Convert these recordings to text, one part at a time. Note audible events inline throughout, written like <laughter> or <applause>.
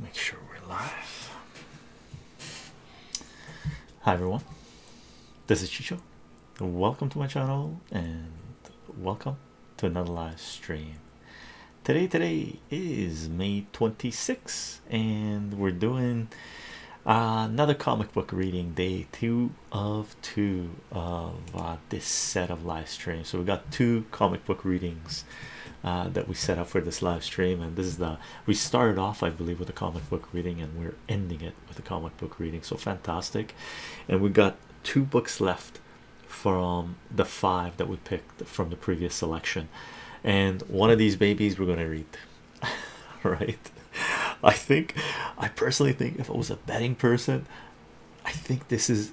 Make sure we're live. Hi everyone, this is Chicho. Welcome to my channel and welcome to another live stream. Today, today is May 26, and we're doing another comic book reading day two of two of uh, this set of live streams. So we got two comic book readings uh, that we set up for this live stream. And this is the we started off, I believe, with a comic book reading, and we're ending it with a comic book reading. So fantastic! And we got two books left from the five that we picked from the previous selection, and one of these babies we're going to read. <laughs> right? I think I personally think if I was a betting person, I think this is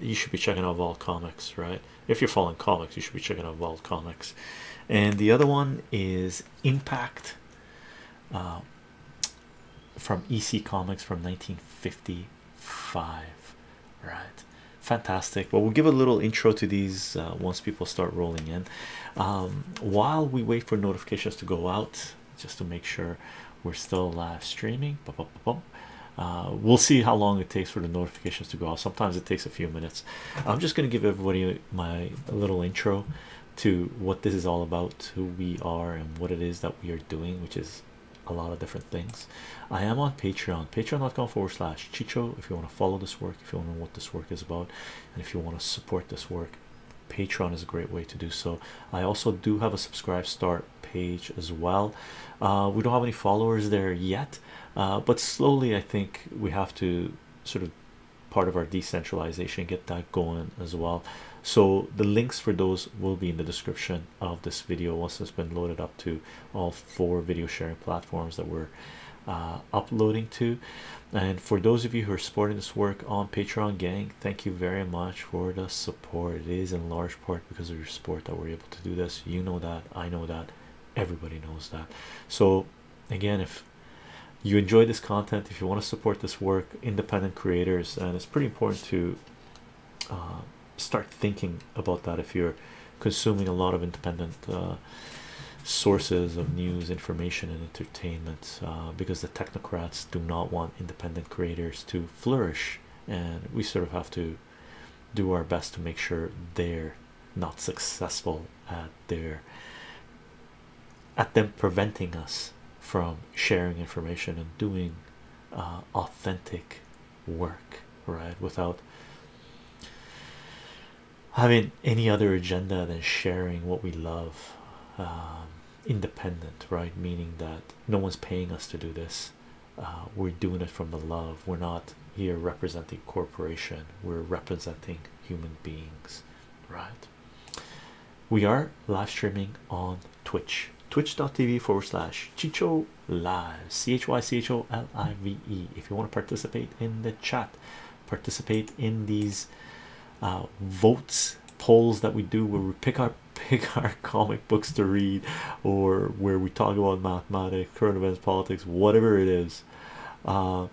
you should be checking out vault comics right if you're following comics you should be checking out vault comics and the other one is impact uh, from ec comics from 1955 right fantastic well we'll give a little intro to these uh, once people start rolling in um, while we wait for notifications to go out just to make sure we're still live streaming uh, we'll see how long it takes for the notifications to go out. Sometimes it takes a few minutes. I'm just going to give everybody my little intro to what this is all about, who we are, and what it is that we are doing, which is a lot of different things. I am on Patreon, patreon.com forward slash Chicho. If you want to follow this work, if you want to know what this work is about, and if you want to support this work, Patreon is a great way to do so. I also do have a subscribe start page as well. Uh, we don't have any followers there yet, uh, but slowly I think we have to sort of part of our decentralization get that going as well. So the links for those will be in the description of this video once it's been loaded up to all four video sharing platforms that we're uh, uploading to. And for those of you who are supporting this work on Patreon, gang, thank you very much for the support. It is in large part because of your support that we're able to do this. You know that, I know that, everybody knows that. So, again, if you enjoy this content, if you want to support this work, independent creators, and it's pretty important to uh, start thinking about that if you're consuming a lot of independent uh, sources of news, information, and entertainment uh, because the technocrats do not want independent creators to flourish, and we sort of have to do our best to make sure they're not successful at their at them preventing us from sharing information and doing uh, authentic work right without having any other agenda than sharing what we love um, independent right meaning that no one's paying us to do this uh, we're doing it from the love we're not here representing corporation we're representing human beings right we are live streaming on twitch twitch.tv forward slash chicho live c-h-y-c-h-o-l-i-v-e if you want to participate in the chat participate in these uh, votes polls that we do where we pick our <laughs> pick our <laughs> comic books to read or where we talk about mathematics current events politics whatever it is uh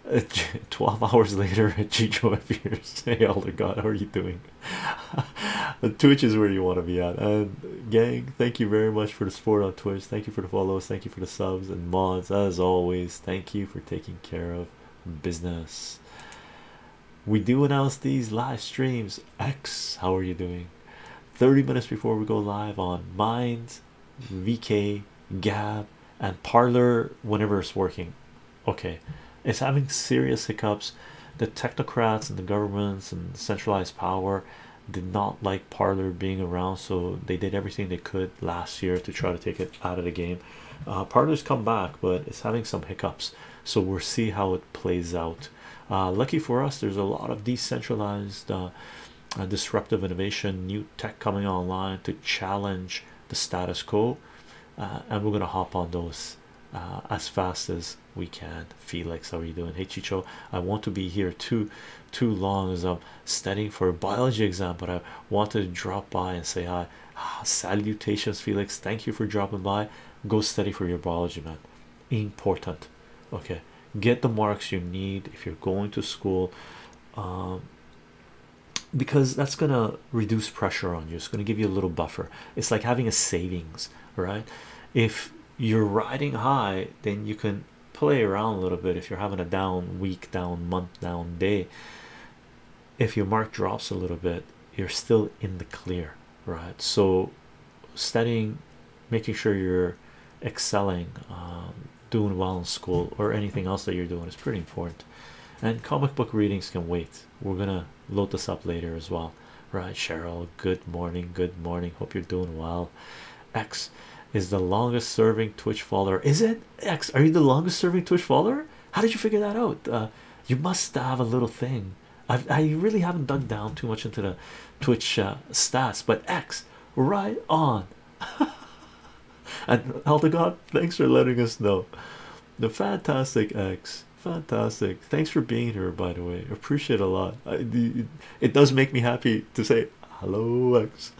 <laughs> 12 hours later <laughs> chicho appears hey elder god how are you doing twitch is where you want to be at and gang thank you very much for the support on twitch thank you for the follows thank you for the subs and mods as always thank you for taking care of business we do announce these live streams X, how are you doing? 30 minutes before we go live on Minds, VK, Gab, and Parlor whenever it's working. Okay, it's having serious hiccups. The technocrats and the governments and centralized power did not like Parlor being around, so they did everything they could last year to try to take it out of the game. Uh, Parlor's come back, but it's having some hiccups, so we'll see how it plays out. Uh, lucky for us, there's a lot of decentralized, uh, uh, disruptive innovation, new tech coming online to challenge the status quo, and we're gonna hop on those as fast as we can. Felix, how are you doing? Hey, Chicho, I want to be here too too long as I'm studying for a biology exam, but I wanted to drop by and say hi. Ah, salutations, Felix. Thank you for dropping by. Go study for your biology, man important okay get the marks you need if you're going to school um, because that's gonna reduce pressure on you it's gonna give you a little buffer it's like having a savings right if you're riding high then you can play around a little bit if you're having a down week down month down day if your mark drops a little bit you're still in the clear right so studying, making sure you're excelling, um, doing well in school, or anything else that you're doing is pretty important. And comic book readings can wait. We're gonna load this up later as well, right? Cheryl, good morning, good morning. Hope you're doing well. X is the longest serving Twitch follower. Is it X? Are you the longest serving Twitch follower? How did you figure that out? Uh, you must have a little thing i really haven't dug down too much into the Twitch uh, stats, but X right on. <laughs> and Elder God, thanks for letting us know. The fantastic X, fantastic. Thanks for being here, by the way. Appreciate a lot. it does make me happy to say hello, X.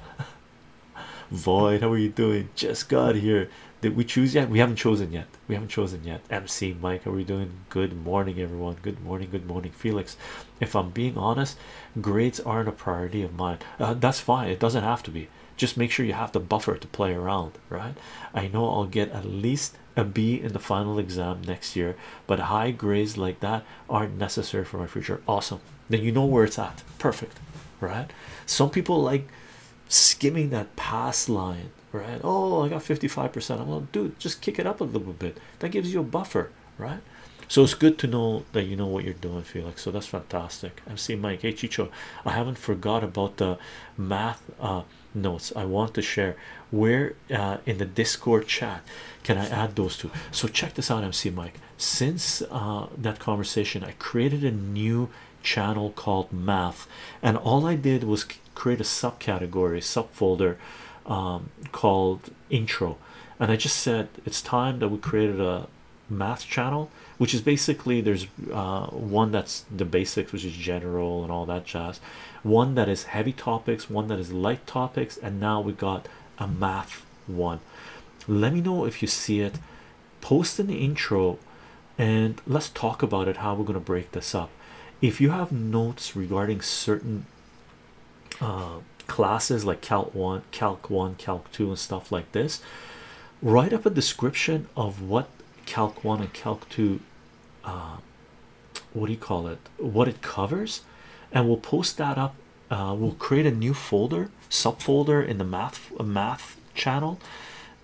<laughs> Void, how are you doing? Just got here. Did we choose yet? We haven't chosen yet we haven't chosen yet mc mike are we doing good morning everyone good morning good morning felix if i'm being honest grades aren't a priority of mine uh, that's fine it doesn't have to be just make sure you have the buffer to play around right i know i'll get at least a b in the final exam next year but high grades like that aren't necessary for my future awesome then you know where it's at perfect right some people like skimming that pass line right? Oh, I got 55%. I'm like, dude, just kick it up a little bit. That gives you a buffer, right? So it's good to know that you know what you're doing, Felix. So that's fantastic. I'm seeing Mike. Hey, Chicho, I haven't forgot about the math uh, notes I want to share. Where uh, in the Discord chat can I add those two? So check this out, MC Mike. Since uh, that conversation, I created a new channel called Math, and all I did was create a subcategory subfolder um, called intro and I just said it's time that we created a math channel which is basically there's uh, one that's the basics which is general and all that jazz one that is heavy topics one that is light topics and now we got a math one let me know if you see it post in the intro and let's talk about it how we're going to break this up if you have notes regarding certain uh, classes like calc 1 calc 1 calc 2 and stuff like this write up a description of what calc 1 and calc 2 uh, what do you call it what it covers and we'll post that up uh, we'll create a new folder subfolder in the math math channel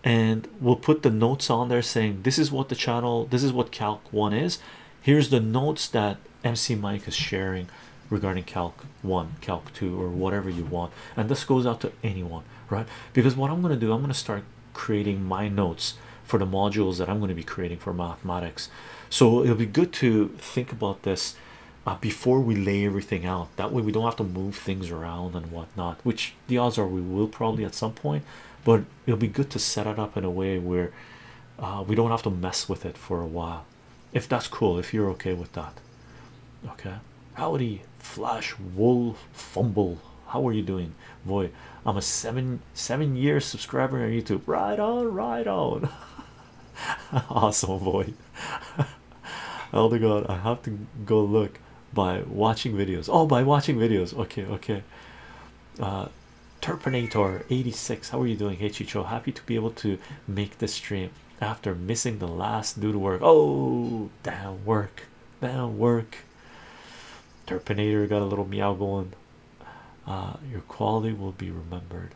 and we'll put the notes on there saying this is what the channel this is what calc 1 is here's the notes that MC Mike is sharing regarding Calc 1, Calc 2, or whatever you want. And this goes out to anyone, right? Because what I'm going to do, I'm going to start creating my notes for the modules that I'm going to be creating for mathematics. So it'll be good to think about this uh, before we lay everything out. That way we don't have to move things around and whatnot, which the odds are we will probably at some point. But it'll be good to set it up in a way where uh, we don't have to mess with it for a while if that's cool if you're okay with that okay howdy flash wool fumble how are you doing boy i'm a seven seven year subscriber on youtube right on right on <laughs> awesome boy <laughs> oh my god i have to go look by watching videos oh by watching videos okay okay uh, Terpinator 86, how are you doing? Hey happy to be able to make this stream after missing the last due to work. Oh, damn work, damn work. Terpinator got a little meow going. Uh, your quality will be remembered.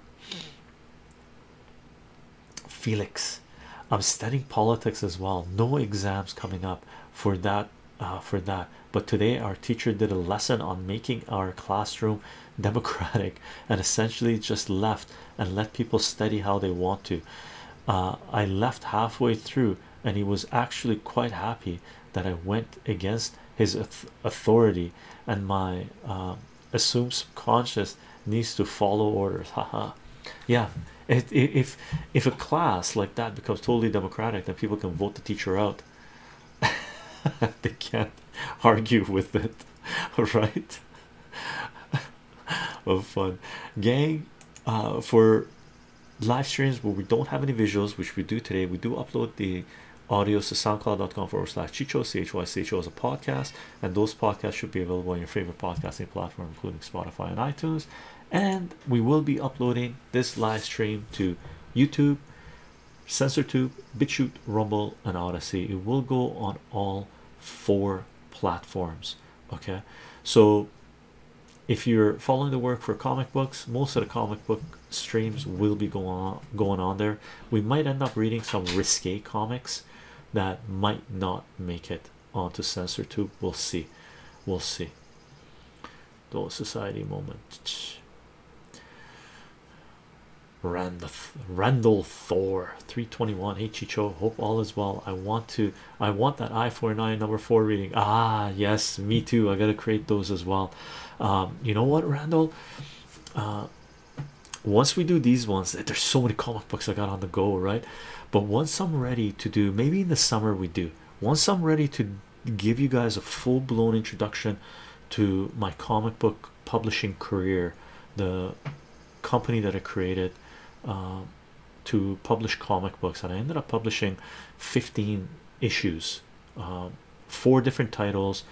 Felix, I'm studying politics as well. No exams coming up for that uh, for that but today our teacher did a lesson on making our classroom <laughs> democratic and essentially just left and let people study how they want to uh, I left halfway through and he was actually quite happy that I went against his authority and my uh, assumed subconscious needs to follow orders haha yeah it, if if a class like that becomes totally democratic then people can vote the teacher out <laughs> they can't argue with it, <laughs> right? of <laughs> fun, gang. Uh, for live streams where we don't have any visuals, which we do today, we do upload the audios to soundcloud.com forward slash chicho chy CHO is a podcast, and those podcasts should be available on your favorite podcasting platform, including Spotify and iTunes. And we will be uploading this live stream to YouTube, SensorTube, BitChute, Rumble, and Odyssey. It will go on all four platforms. Okay, so if you're following the work for comic books, most of the comic book streams will be going on going on there. We might end up reading some risque comics that might not make it onto SensorTube. We'll see. We'll see. Those society moments. Randall, Randall Thor 321 hey Chicho hope all is well I want to I want that I49 number 4 reading ah yes me too I gotta create those as well um, you know what Randall uh, once we do these ones there's so many comic books I got on the go right but once I'm ready to do maybe in the summer we do once I'm ready to give you guys a full-blown introduction to my comic book publishing career the company that i created uh, to publish comic books and i ended up publishing 15 issues uh, four different titles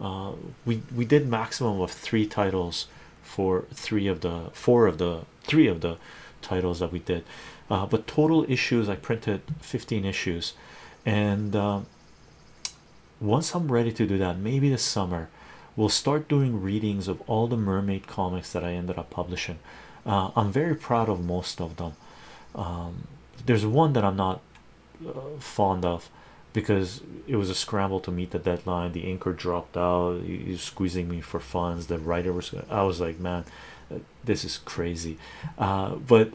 uh, we we did maximum of three titles for three of the four of the three of the titles that we did but total issues i printed 15 issues and uh, once I'm ready to do that, maybe the summer we'll start doing readings of all the mermaid comics that I ended up publishing. Uh, I'm very proud of most of them. Um, there's one that I'm not uh, fond of because it was a scramble to meet the deadline. The inker dropped out, he's squeezing me for funds. The writer was, I was like, man, this is crazy uh, but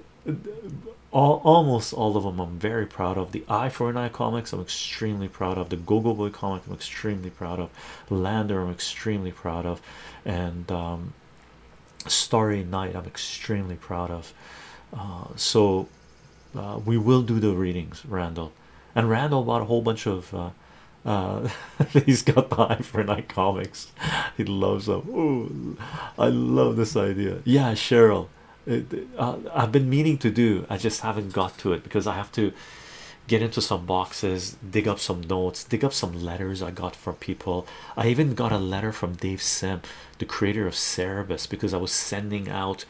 almost all of them I'm very proud of the eye for an eye comics I'm extremely proud of the Google Boy comic I'm extremely proud of Lander I'm extremely proud of and um, Starry Night I'm extremely proud of uh, so uh, we will do the readings Randall and Randall bought a whole bunch of uh, <laughs> he's got the eye for an Eye comics <laughs> he loves them. Ooh, I love this idea. Yeah, Cheryl, uh, I've been meaning to do. I just haven't got to it because I have to get into some boxes, dig up some notes, dig up some letters I got from people. I even got a letter from Dave Sim, the creator of Cerebus, because I was sending out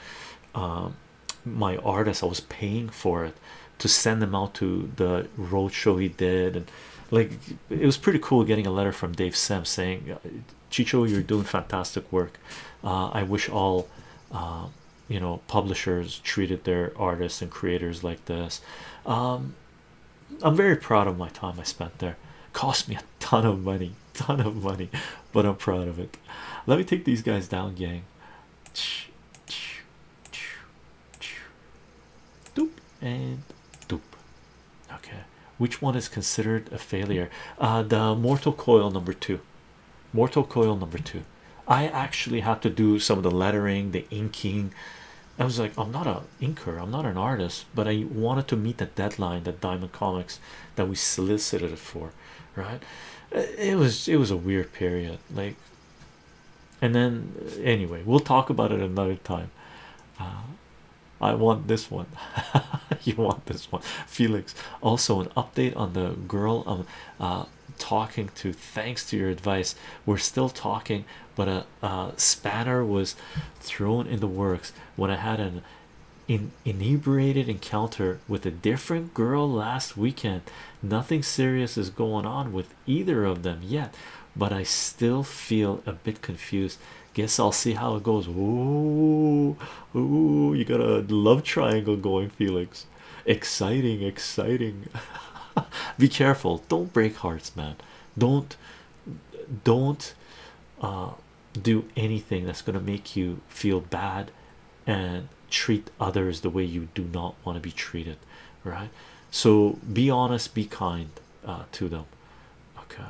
um, my artists. I was paying for it to send them out to the road show he did and like it was pretty cool getting a letter from Dave Sem saying, uh, Chicho, you're doing fantastic work. Uh, I wish all uh, you know publishers treated their artists and creators like this. Um, I'm very proud of my time I spent there. Cost me a ton of money, ton of money, but I'm proud of it. Let me take these guys down, gang. Doop and doop okay which one is considered a failure uh, the mortal coil number two mortal coil number two i actually had to do some of the lettering the inking i was like i'm not an inker i'm not an artist but i wanted to meet the deadline that diamond comics that we solicited it for right uh, it was it was a weird period like and then anyway we'll talk about it another time uh, I want this one. <laughs> you want this one, Felix. Also, an update on the girl I'm uh, talking to. Thanks to your advice, we're still talking, but a, a spanner was thrown in the works when I had an in inebriated encounter with a different girl last weekend. Nothing serious is going on with either of them yet, but I still feel a bit confused Guess I'll see how it goes. Ooh, ooh, you got a love triangle going, Felix. Exciting, exciting. <laughs> Be careful. Don't break hearts, man. Don't don't uh, do anything that's gonna make you feel bad and treat others the way you do not want to be treated, right? So be honest, be kind. Uh, to them. Okay,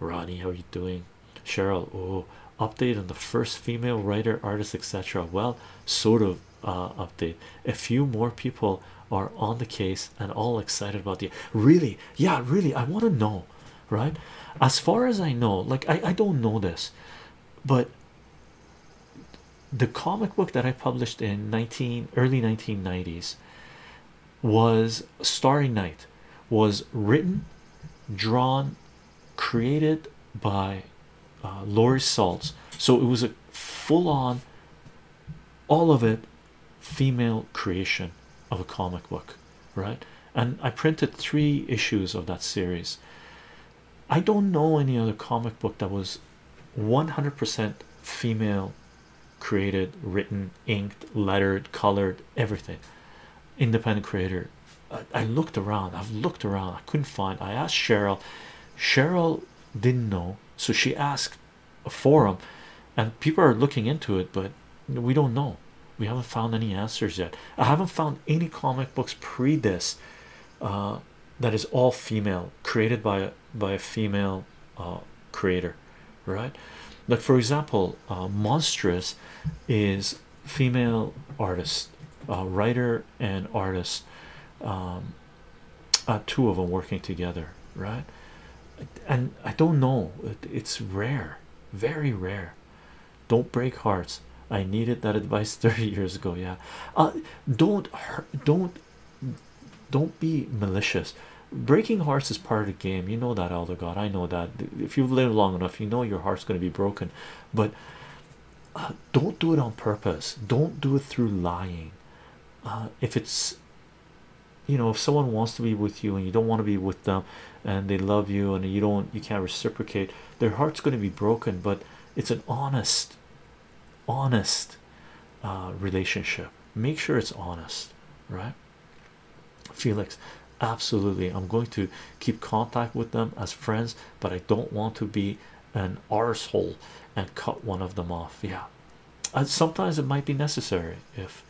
Ronnie, how are you doing? Cheryl, oh, update on the first female writer, artist, etc. Well, sort of uh, update. A few more people are on the case and all excited about the really, yeah, really. I want to know, right? As far as I know, like I, I don't know this, but the comic book that I published in 19 early 1990s was Starry Night was written, drawn, created by uh, Laurie Saltz. So it was a full-on, all of it, female creation of a comic book, right? And I printed three issues of that series. I don't know any other comic book that was 100% female created written inked lettered colored everything independent creator I, looked around I've looked around I couldn't find I asked Cheryl Cheryl didn't know so she asked a forum and people are looking into it but we don't know we haven't found any answers yet I haven't found any comic books pre this uh, that is all female created by by a female uh, creator right like for example uh, monstrous is female artist uh, writer and artist um, uh, two of them working together right and i don't know it's rare very rare don't break hearts i needed that advice <laughs> 30 years ago yeah uh, don't don't don't be malicious breaking hearts is part of the game you know that elder god i know that if you've lived long enough you know your heart's going to be broken but uh, don't do it on purpose don't do it through lying uh, if it's you know if someone wants to be with you and you don't want to be with them and they love you and you don't you can't reciprocate their heart's going to be broken but it's an honest honest uh, relationship make sure it's honest right Felix, absolutely. I'm going to keep contact with them as friends, but I don't want to be an arsehole and cut one of them off. Yeah, sometimes it might be necessary if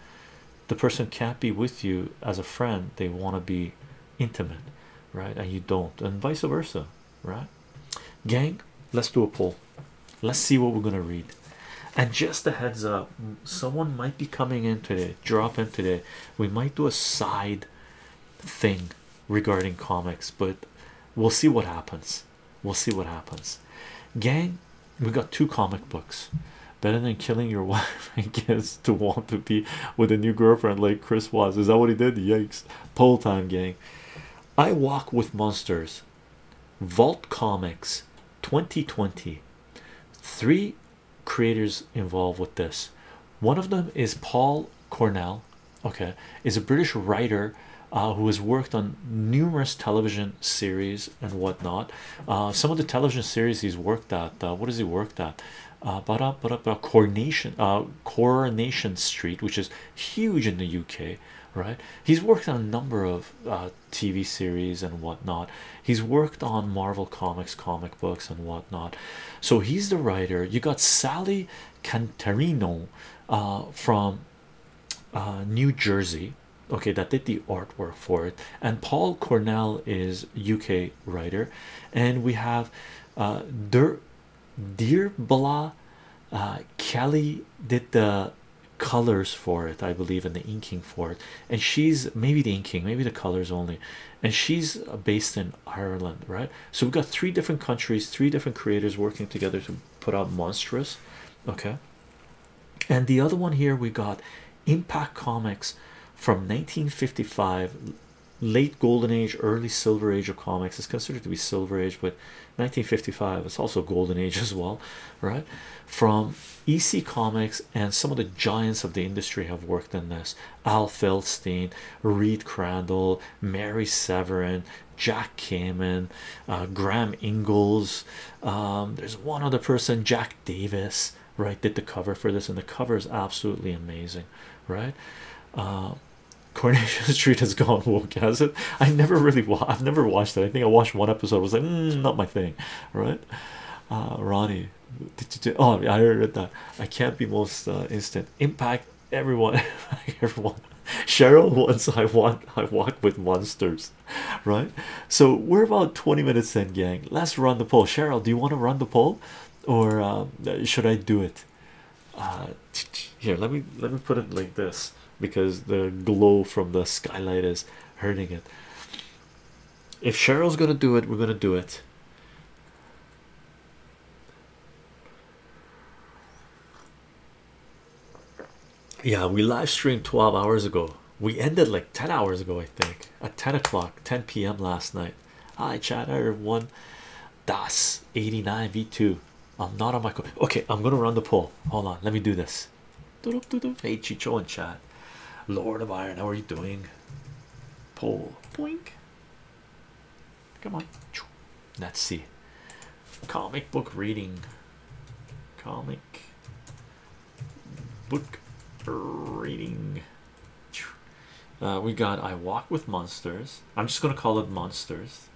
the person can't be with you as a friend, they want to be intimate, right? And you don't, and vice versa, right? Gang, let's do a poll. Let's see what we're gonna read and just a heads up someone might be coming in today drop in today we might do a side thing regarding comics but we'll see what happens we'll see what happens gang we got two comic books better than killing your <laughs> wife I guess, to want to be with a new girlfriend like chris was is that what he did yikes poll time gang i walk with monsters vault comics 2020 Three creators involved with this. One of them is Paul Cornell, okay, is a British writer uh, who has worked on numerous television series and whatnot. Uh, some of the television series he's worked at, uh, what has he worked at? but up, but up, coronation, uh, coronation street, which is huge in the UK, right? He's worked on a number of TV series and whatnot. He's worked on Marvel Comics comic books and whatnot. So he's the writer. You got Sally Cantarino uh, from uh, New Jersey, okay, that did the artwork for it. And Paul Cornell is UK writer, and we have uh, Der Dear uh, Kelly did the colors for it, I believe, and the inking for it. And she's maybe the inking, maybe the colors only. And she's based in Ireland, right? So we've got three different countries, three different creators working together to put out monstrous, okay. And the other one here we got Impact Comics from 1955 late golden age early silver age of comics is considered to be silver age but 1955 it's also golden age <laughs> as well right from ec comics and some of the giants of the industry have worked in this al feldstein reed crandall mary severin jack kamen uh, graham Ingles. Um, there's one other person jack davis right did the cover for this and the cover is absolutely amazing right uh, Coronation <laughs> Street has gone woke, has it? I never really, wa I've never watched it. I think I watched one episode. I was like, mm, not my thing, right? Uh, Ronnie. Oh, I heard that. I can't be most uh, instant impact. Everyone, <laughs> everyone. Cheryl wants. I walk, I walk with monsters, right? So we're about 20 minutes in, gang. Let's run the poll. Cheryl, do you want to run the poll, or um, should I do it? Uh, here, let me let me put it like this because the glow from the skylight is hurting it. If Cheryl's gonna do it, we're gonna do it. Yeah, we live streamed 12 hours ago. We ended like 10 hours ago, I think, at 10 o'clock, 10 p.m. last night. I chat, everyone. Das 89 V2. I'm not on my. Okay, I'm gonna run the poll. Hold on, let me do this. Hey Chicho in chat. Lord of Iron, how are you doing? Poll. point. Come on. Let's see. Comic book reading. Comic book reading. Uh, we got I Walk with Monsters. I'm just going to call it Monsters.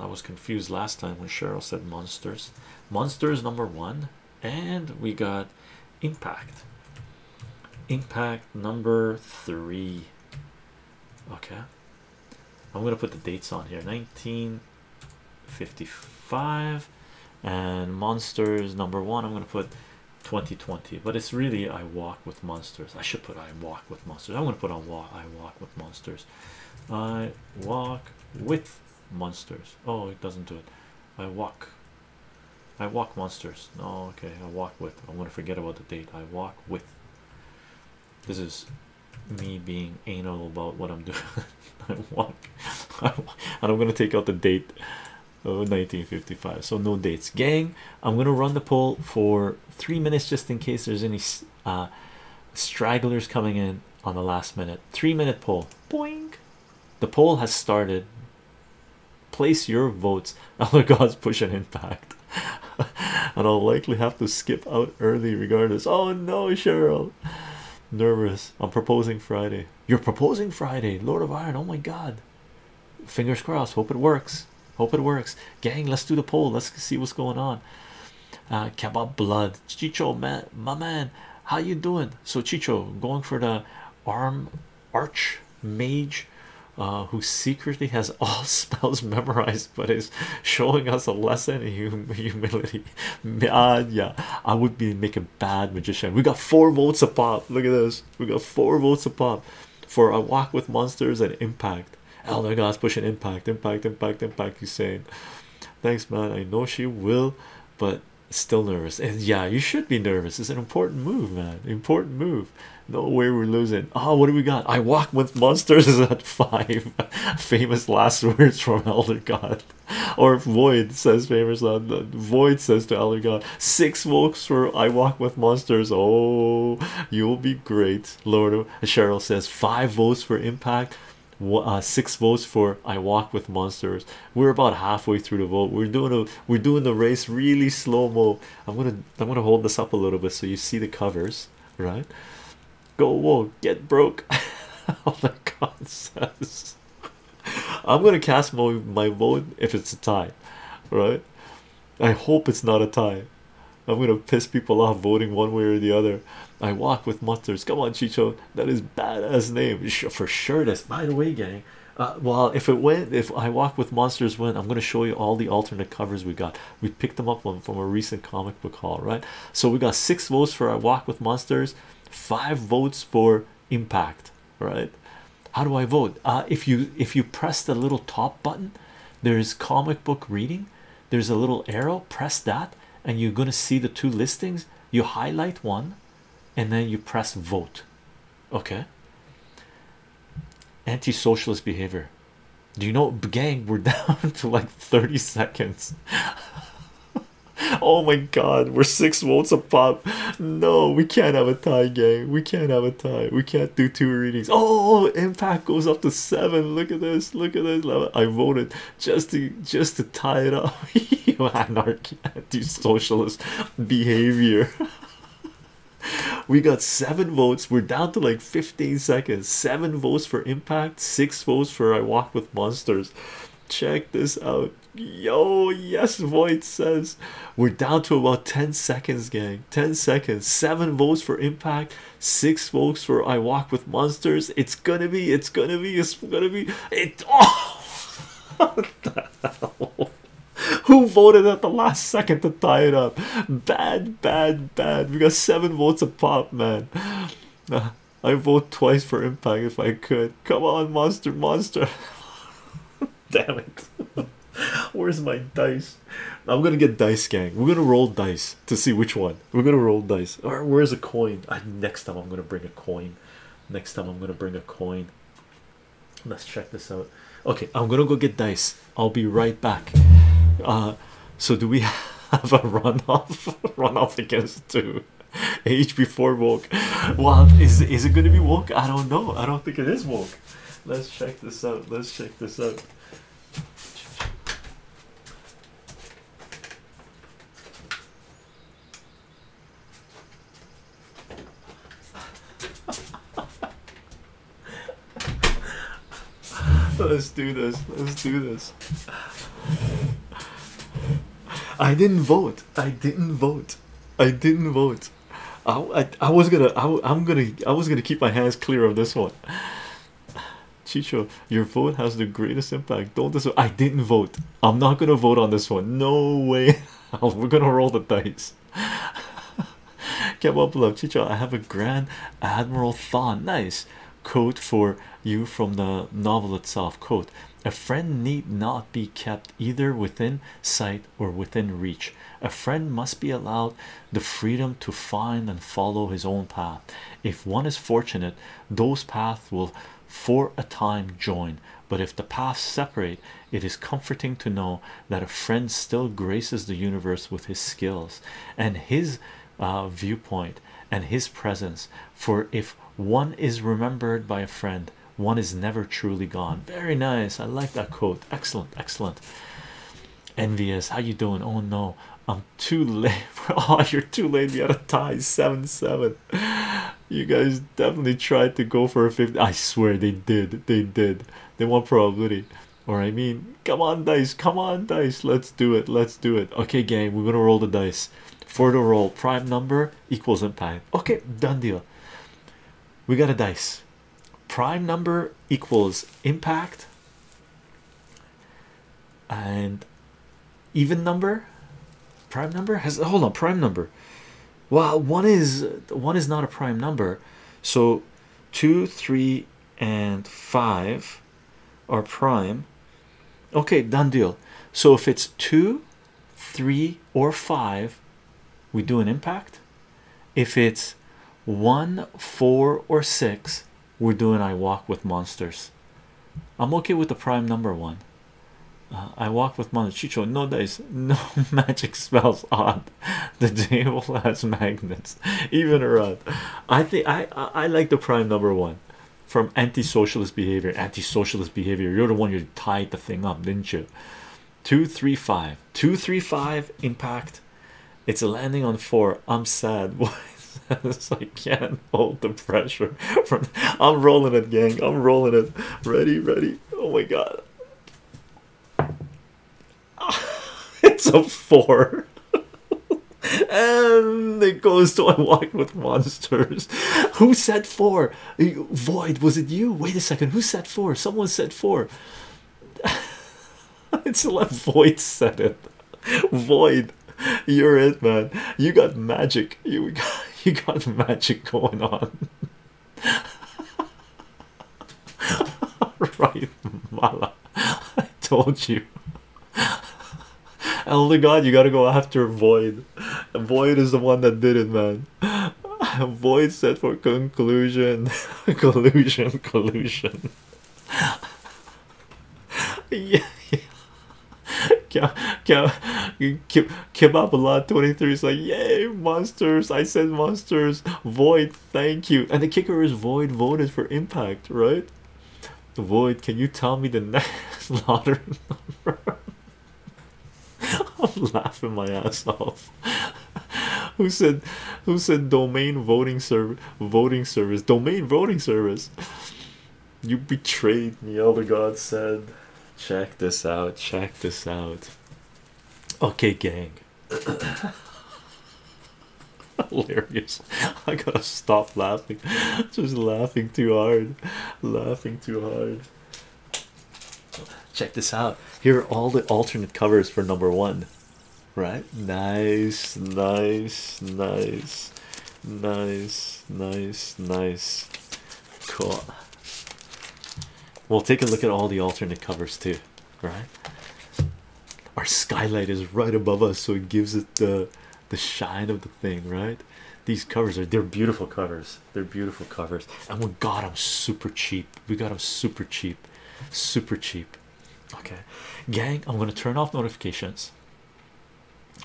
I was confused last time when Cheryl said Monsters. Monsters number one and we got impact impact number three okay i'm gonna put the dates on here 1955 and monsters number one i'm gonna put 2020 but it's really i walk with monsters i should put i walk with monsters i'm to put on walk i walk with monsters i walk with monsters oh it doesn't do it i walk i walk monsters no oh, okay i walk with i'm going to forget about the date i walk with this is me being anal about what i'm <laughs> doing i walk and i'm going to take out the date of 1955 so no dates gang i'm going to run the poll for three minutes just in case there's any uh, stragglers coming in on the last minute three minute poll Boing. The poll has started. Place your votes. Other <laughs> gods push an impact. <laughs> and I'll likely have to skip out early regardless. Oh no, Cheryl. Nervous. I'm proposing Friday. You're proposing Friday, Lord of Iron. Oh my god. Fingers crossed. Hope it works. Hope it works. Gang, let's do the poll. Let's see what's going on. Uh, kebab blood. Chicho, man, my man. How you doing? So Chicho going for the arm arch mage uh, who secretly has <laughs> all spells memorized but is showing us a lesson in <laughs> humility. Man, uh, yeah, I would be making bad magician. We got four votes a pop. Look at this. We got four votes a pop for a walk with monsters and impact. Oh my God, pushing impact, impact, impact, impact. He's saying, Thanks, man. I know she will but still nervous. And yeah, you should be nervous. It's an important move, man. Important move. No way we're losing. Oh, what do we got? I walk with monsters <laughs> at five. <laughs> famous last words from Elder God. <laughs> Or Void says famous uh, Void says to Elder God. Six walks for I walk with monsters. Oh, you'll be great. Lord Cheryl says five votes for impact. Uh, six votes for I Walk with Monsters. We're about halfway through the vote. We're doing a we're doing the race really slow mo. I'm gonna I'm gonna hold this up a little bit so you see the covers, right? Go whoa, get broke. <laughs> All the God says. I'm gonna cast my my vote if it's a tie, right? I hope it's not a tie. I'm gonna piss people off voting one way or the other. I walk with monsters. Come on, Chicho, that is badass name for sure. This, by the way, gang. Uh, well, if it went, if I walk with monsters went, I'm gonna show you all the alternate covers we got. We picked them up from from a recent comic book haul, right? So we got six votes for I walk with monsters, five votes for impact, right? How do I vote? Uh, if you if you press the little top button, there's comic book reading. There's a little arrow. Press that, and you're gonna see the two listings you highlight one and then you press vote okay anti-socialist behavior do you know gang we're <laughs> down to like 30 seconds <laughs> oh my god we're six votes a no we can't have a tie game we can't have a tie we can't do two readings oh impact goes up to seven look at this look at this i voted just to just to tie it up. <laughs> you anarchy, anti-socialist behavior. <laughs> we got seven votes. We're down to like 15 seconds. Seven votes for impact, six votes for I walk with monsters. Check this out. Yo, yes, Void says we're down to about 10 seconds, gang. 10 seconds, seven votes for impact, six votes for I walk with monsters. It's gonna be, it's gonna be, it's gonna be, it's <laughs> oh, Who voted at the last second to tie it up? Bad, bad, bad. We got seven votes apart, man. <laughs> I vote twice for impact if I could. Come on, monster, monster. <laughs> Damn it. Where's my dice? I'm gonna get dice, gang. We're gonna roll dice to see which one. We're gonna roll dice. Or where's a coin? Uh, next time I'm gonna bring a coin next time i'm gonna bring a coin let's check this out okay i'm gonna go get dice i'll be right back uh, so do we <laughs> have a runoff <laughs> runoff against two age before walk? well is is it gonna be walk? i don't know i don't think it is walk. let's check this out let's check this out <laughs> Let's do this. Let's do this. I didn't vote. I didn't vote. I didn't vote. I, I, was gonna I, am gonna I was gonna keep my hands clear of this one. Chicho, your vote has the greatest impact. Don't dis I didn't vote. I'm not gonna vote on this one. No way. <laughs> We're gonna roll the dice. <laughs> Kebab love Chicho. I have a Grand Admiral thought. Nice quote for you from the novel itself. Quote A friend need not be kept either within sight or within reach. A friend must be allowed the freedom to find and follow his own path. If one is fortunate, those paths will for a time join but if the paths separate it is comforting to know that a friend still graces the universe with his skills and his uh, viewpoint and his presence for if one is remembered by a friend one is never truly gone very nice i like that quote excellent excellent envious how you doing oh no i'm too late <laughs> oh <laughs> you're too late you got a tie seven seven you guys definitely tried to go for a 50 i swear they did they did they want probability or i mean come on dice come on dice let's do it let's do it okay game we're gonna roll the dice for the roll prime number equals impact okay done deal we got a dice prime number equals impact and even number prime number has hold on prime number well one is one is not a prime number so two three and five are prime okay done deal so if it's two three or five we do an impact if it's one four or six we're doing i walk with monsters i'm okay with the prime number one uh, I walk with Montecicho. No dice, <laughs> no magic spells. Odd, the devil has magnets. Even a Rod, I think I, I like the prime number one from anti-socialist behavior. Anti-socialist behavior. You're the one who tied the thing up, didn't you? Two three five. Two three five impact. It's landing on four. I'm sad. <laughs> Why? it's like yeah, can hold the pressure I'm rolling it gang I'm rolling it ready ready oh my god <laughs> it's a four <laughs> and it goes to I walk with monsters who said four eh, void was it you wait a second who said four someone said four <laughs> it's left void said it void you're it man you got magic you got <laughs> you got magic going on. <laughs> right, Mala. I told you. <laughs> Elder God, you gotta go after Void. Void is the one that did it, man. Void said for conclusion, collusion, collusion. yeah, yeah. Kebab a lot 23 is like, Yay, monsters! I said monsters. Void, thank you. And the kicker is Void voted for impact, right? Void, can you tell me the next <laughs> lottery number? <laughs> I'm laughing my ass off. <laughs> who said who said domain voting service voting service domain voting service you betrayed me, Elder gods said. Check this out, check this out. Okay, gang. <coughs> Hilarious. I gotta stop laughing. Just laughing too hard. Laughing too hard. Check this out. Here are all the alternate covers for number one. Right? Nice, nice, nice, nice, nice, nice. Cool. We'll take a look at all the alternate covers too, right? Our skylight is right above us, so it gives it the the shine of the thing, right? These covers are they're beautiful covers. They're beautiful covers, and we got them super cheap. We got them super cheap, super cheap. Okay, gang, I'm gonna turn off notifications.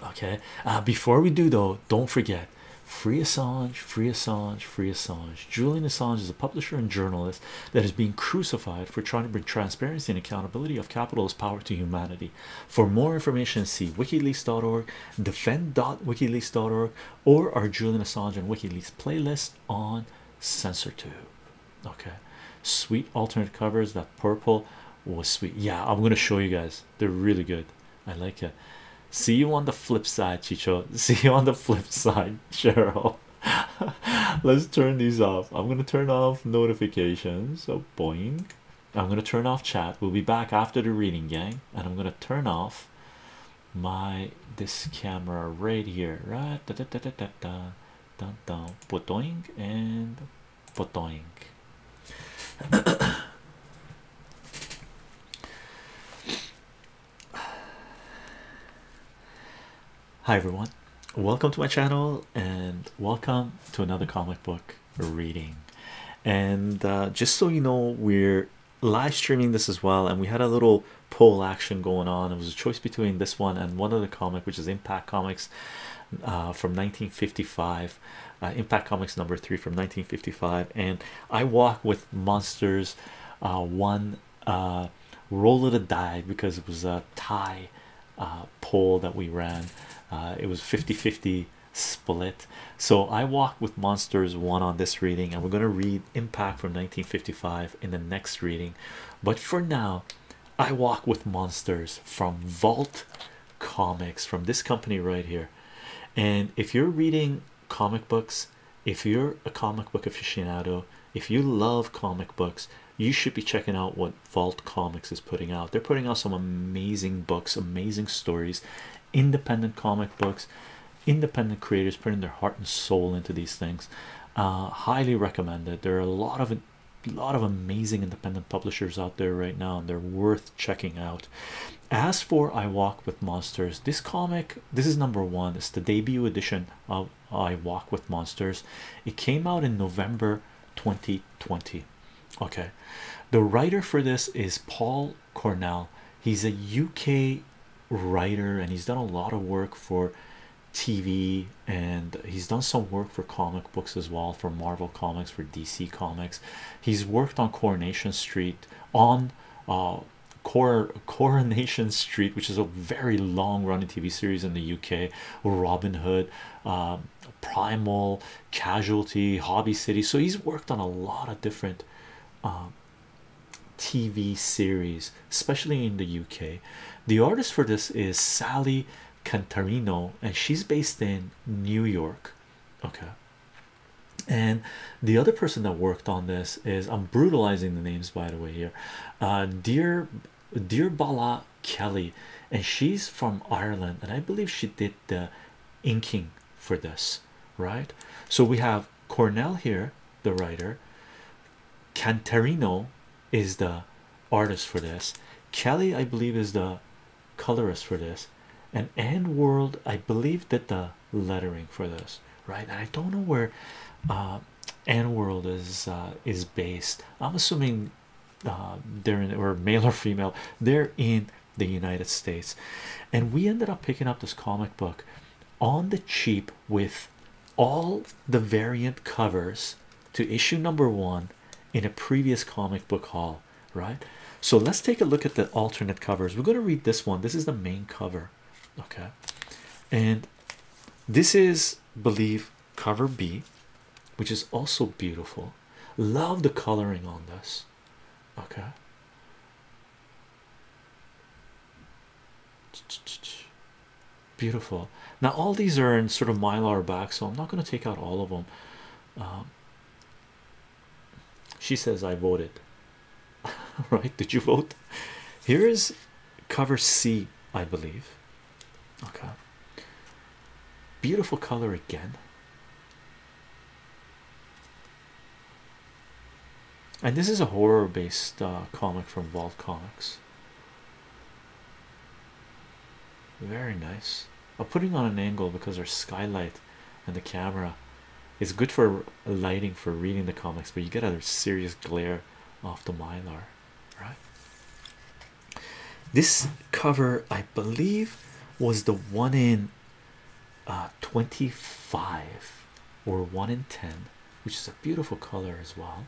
Okay, uh, before we do though, don't forget free Assange, free Assange, free Assange. Julian Assange is a publisher and journalist that is being crucified for trying to bring transparency and accountability of capitalist power to humanity. For more information, see wikileaks.org, defend.wikileaks.org, or our Julian Assange and WikiLeaks playlist on CensorTube. Okay, sweet alternate covers that purple was sweet. Yeah, I'm gonna show you guys guys. They're really good. I like it. See you on the flip side, Chicho. <laughs> See you on the flip side, <laughs> Cheryl. <laughs> Let's turn these off. I'm gonna turn off notifications. So oh, boing. I'm gonna turn off chat. We'll be back after the reading, gang, and I'm gonna turn off my this camera right here. Right, da da da da da da, dun dun, boing and boing. Hi everyone, welcome to my channel and welcome to another comic book reading. And uh, just so you know, we're live streaming this as well. And we had a little poll action going on. It was a choice between this one and one other comic, which is Impact Comics uh, from 1955. Uh, impact comics number three from 1955 and i walk with monsters uh, one uh, roll of the die because it was a tie uh, poll that we ran it was 50 50 split so i walk with monsters one on this reading and we're going to read impact from 1955 in the next reading but for now i walk with monsters from vault comics from this company right here and if you're reading comic books if you're a comic book aficionado if you love comic books you should be checking out what vault comics is putting out they're putting out some amazing books amazing stories independent comic books independent creators putting their heart and soul into these things uh highly recommended there are a lot of a lot of amazing independent publishers out there right now and they're worth checking out as for I Walk with Monsters, this comic, this is number one, it's the debut edition of I Walk with Monsters. It came out in November 2020. Okay, the writer for this is Paul Cornell, he's a UK writer and he's done a lot of work for TV and he's done some work for comic books as well for Marvel Comics, for DC Comics. He's worked on Coronation Street on uh, Coronation Street, which is a very long running TV series in the UK, Robin Hood, uh, Primal, Casualty, Hobby City. So he's worked on a lot of different um, TV series, especially in the UK. The artist for this is Sally Cantarino, and she's based in New York. Okay, and the other person that worked on this is i'm brutalizing the names by the way here uh, dear dear bala kelly and she's from ireland and i believe she did the inking for this right so we have cornell here the writer cantarino is the artist for this kelly i believe is the colorist for this and and world i believe that the lettering for this, right? And I don't know where uh, N World is uh, is based. I'm assuming uh, they're in or male or female. They're in the United States, and we ended up picking up this comic book on the cheap with all the variant covers to issue number one in a previous comic book haul right? So let's take a look at the alternate covers. We're going to read this one. This is the main cover, okay? And this is believe cover B, which is also beautiful. Love the coloring on this, okay? Beautiful. Now, all these are in sort of mylar back, so I'm not going to take out all of them. Um, she says, I voted. <laughs> right? Did you vote? Here is cover C, I believe. Okay. Beautiful color again. And this is a horror based uh, comic from Vault Comics. Very nice. I'm putting on an angle because our skylight and the camera is good for lighting for reading the comics but you get a serious glare off the mylar right this cover i believe was the one in uh, 25 or one in 10 which is a beautiful color as well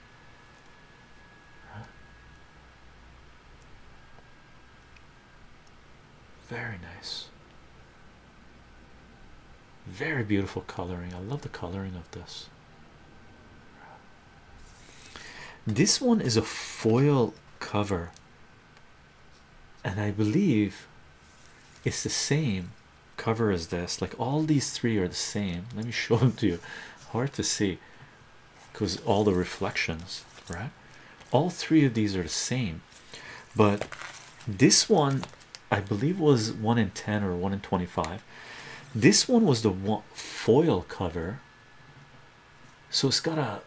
very nice. Very beautiful coloring. I love the coloring of this. This one is a foil cover, and I believe it's the same cover as this. Like all these three are the same. Let me <laughs> show them to you. Hard to see because all the reflections, right? All three of these are the same but this one i believe was 1 in 10 or 1 in 25 this one was the foil cover so it's got a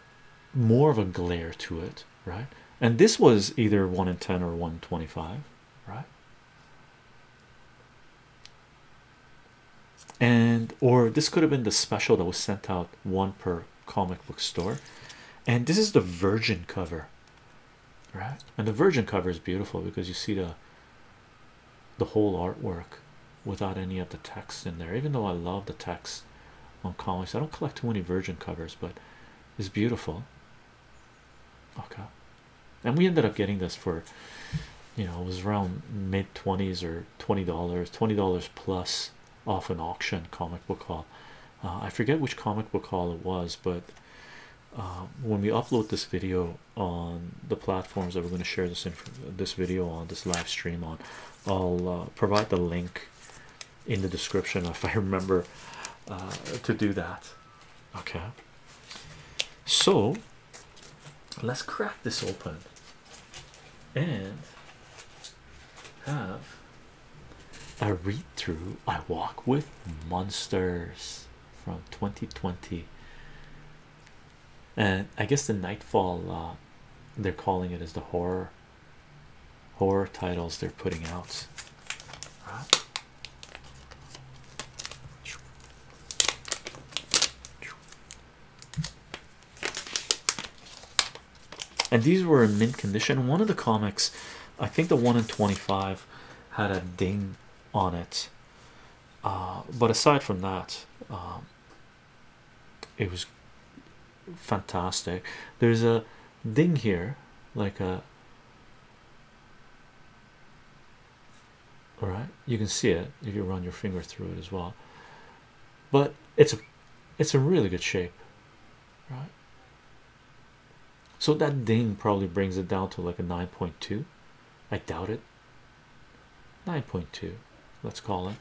more of a glare to it right and this was either 1 in 10 or 125 right and or this could have been the special that was sent out one per comic book store, and this is the Virgin cover, right? And the Virgin cover is beautiful because you see the the whole artwork without any of the text in there. Even though I love the text on comics, I don't collect too many Virgin covers, but it's beautiful. Okay, and we ended up getting this for you know it was around mid 20s or $20 $20 plus off an auction comic book haul uh, I forget which comic book hall it was, but uh, when we upload this video on the platforms that we're going to share this this video on this live stream on, I'll uh, provide the link in the description if I <laughs> remember to do that. Okay, so let's crack this open and have I read through I walk with monsters from 2020 and I guess the nightfall uh, they're calling it as the horror horror titles they're putting out and these were in mint condition. One of the comics, I think the one in 25, had a ding on it. Uh, but aside from that, um, it was fantastic. There's a ding here, like a all right you can see it if you run your finger through it as well but it's a it's a really good shape right so that ding probably brings it down to like a 9.2 i doubt it 9.2 let's call it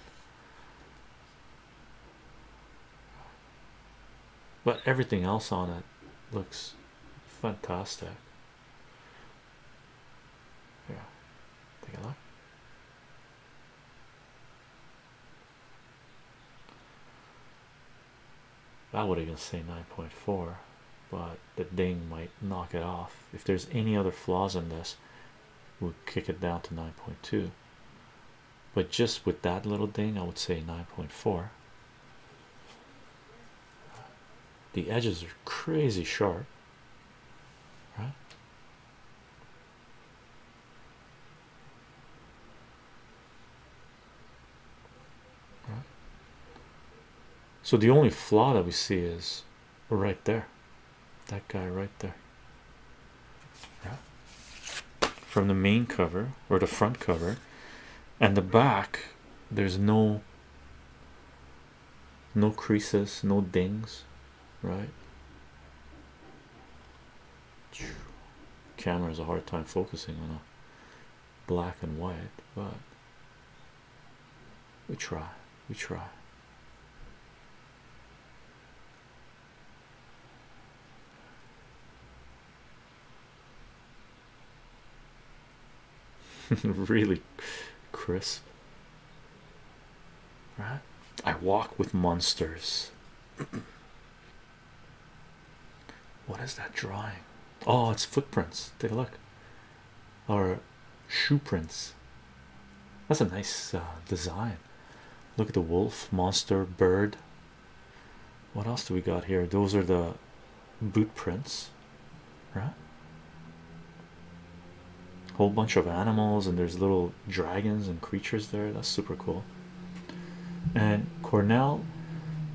but everything else on it looks fantastic yeah take a look I would even say 9.4, but the ding might knock it off. If there's any other flaws in this, we'll kick it down to 9.2. But just with that little ding, I would say 9.4. The edges are crazy sharp, right? So the only flaw that we see is right there, that guy right there, from the main cover or the front cover, and the back. There's no no creases, no dings, right? camera has a hard time focusing on a black and white, but we try, we try. <laughs> really crisp, right? I walk with monsters. What is that drawing? Oh, it's footprints. Take a look, or shoe prints. That's a nice uh, design. Look at the wolf, monster, bird. What else do we got here? Those are the boot prints, right? Whole bunch of animals, and there's little dragons and creatures there. That's super cool and Cornell,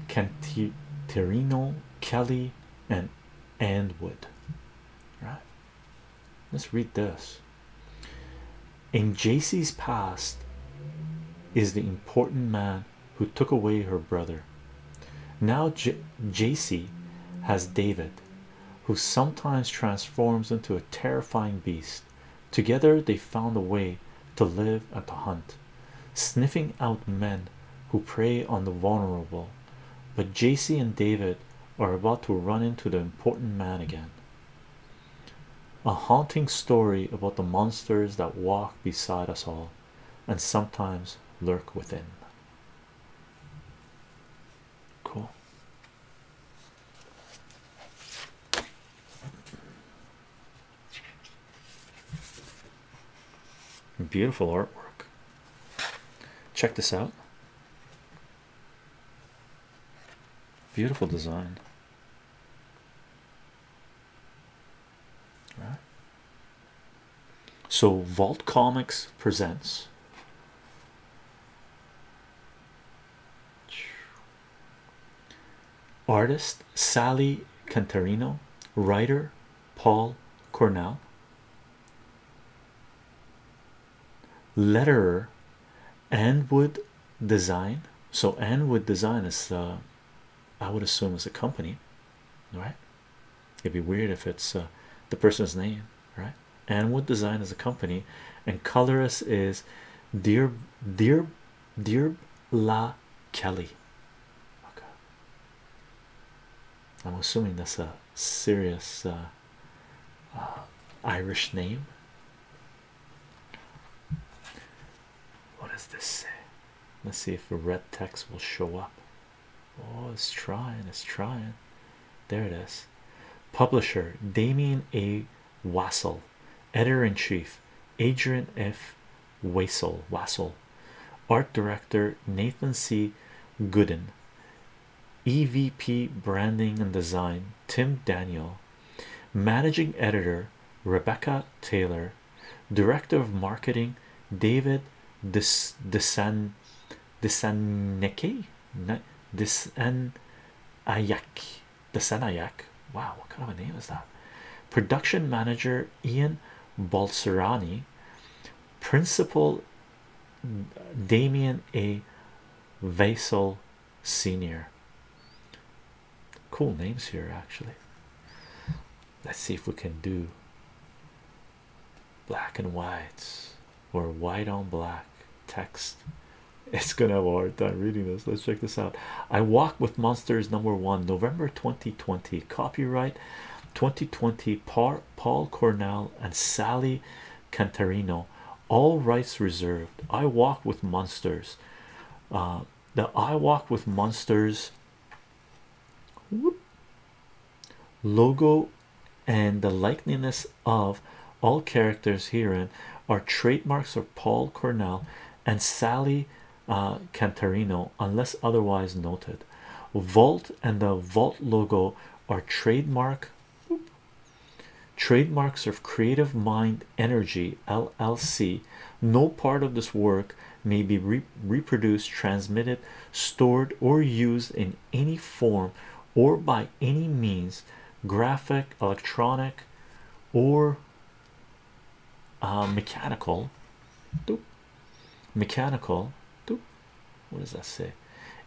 Canterino, Kelly, and Andwood. Right. Let's read this. In JC's past is the important man who took away her brother. Now J has David, who sometimes transforms into a terrifying beast, Together they found a way to live and to hunt, sniffing out men who prey on the vulnerable. But Jacy and David are about to run into the important man again. A haunting story about the monsters that walk beside us all and sometimes lurk within. Cool. Beautiful artwork. Check this out. Beautiful design. Right. So Vault Comics presents Artist Sally Cantarino, writer Paul Cornell, letterer Anwood Design. So, Anwood Design is, uh, I would assume, is a company, right? It'd be weird if it's uh, the person's name, right? Anwood Design is a company, and colorist is Dear Dear Dear La Kelly. Okay. I'm assuming that's a serious uh, uh, Irish name. What does this say? Let's see if the red text will show up. Oh, it's trying, it's trying. There it is. Publisher Damien A. Wassel, Editor in Chief Adrian F. Wassel, Wassel, art director Nathan C. Gooden, EVP branding and design Tim Daniel, managing editor Rebecca Taylor, director of marketing David Dis Disan Disaneke Disan Ayak the Senayak. Wow, what kind of a name is that? Production manager Ian Balserani, principal Damien A. Vasil, Senior. Cool names here, actually. Let's see if we can do black and whites or white on black text. <laughs> It's gonna have a hard time reading this. Let's check this out. I walk with my Monsters number one, November 2020, copyright 2020, Paul Cornell and Sally Cantarino, all rights reserved. I walk with monsters. Uh, the I walk with monsters logo and the likeness of all characters herein are trademarks of Paul Cornell and Sally uh, unless otherwise noted. Vault and the Vault logo are trademark trademarks of Creative Mind Energy LLC. No part of this work may be reproduced, transmitted, stored, or used in any form or by any means graphic, electronic, or uh, mechanical mechanical what does that say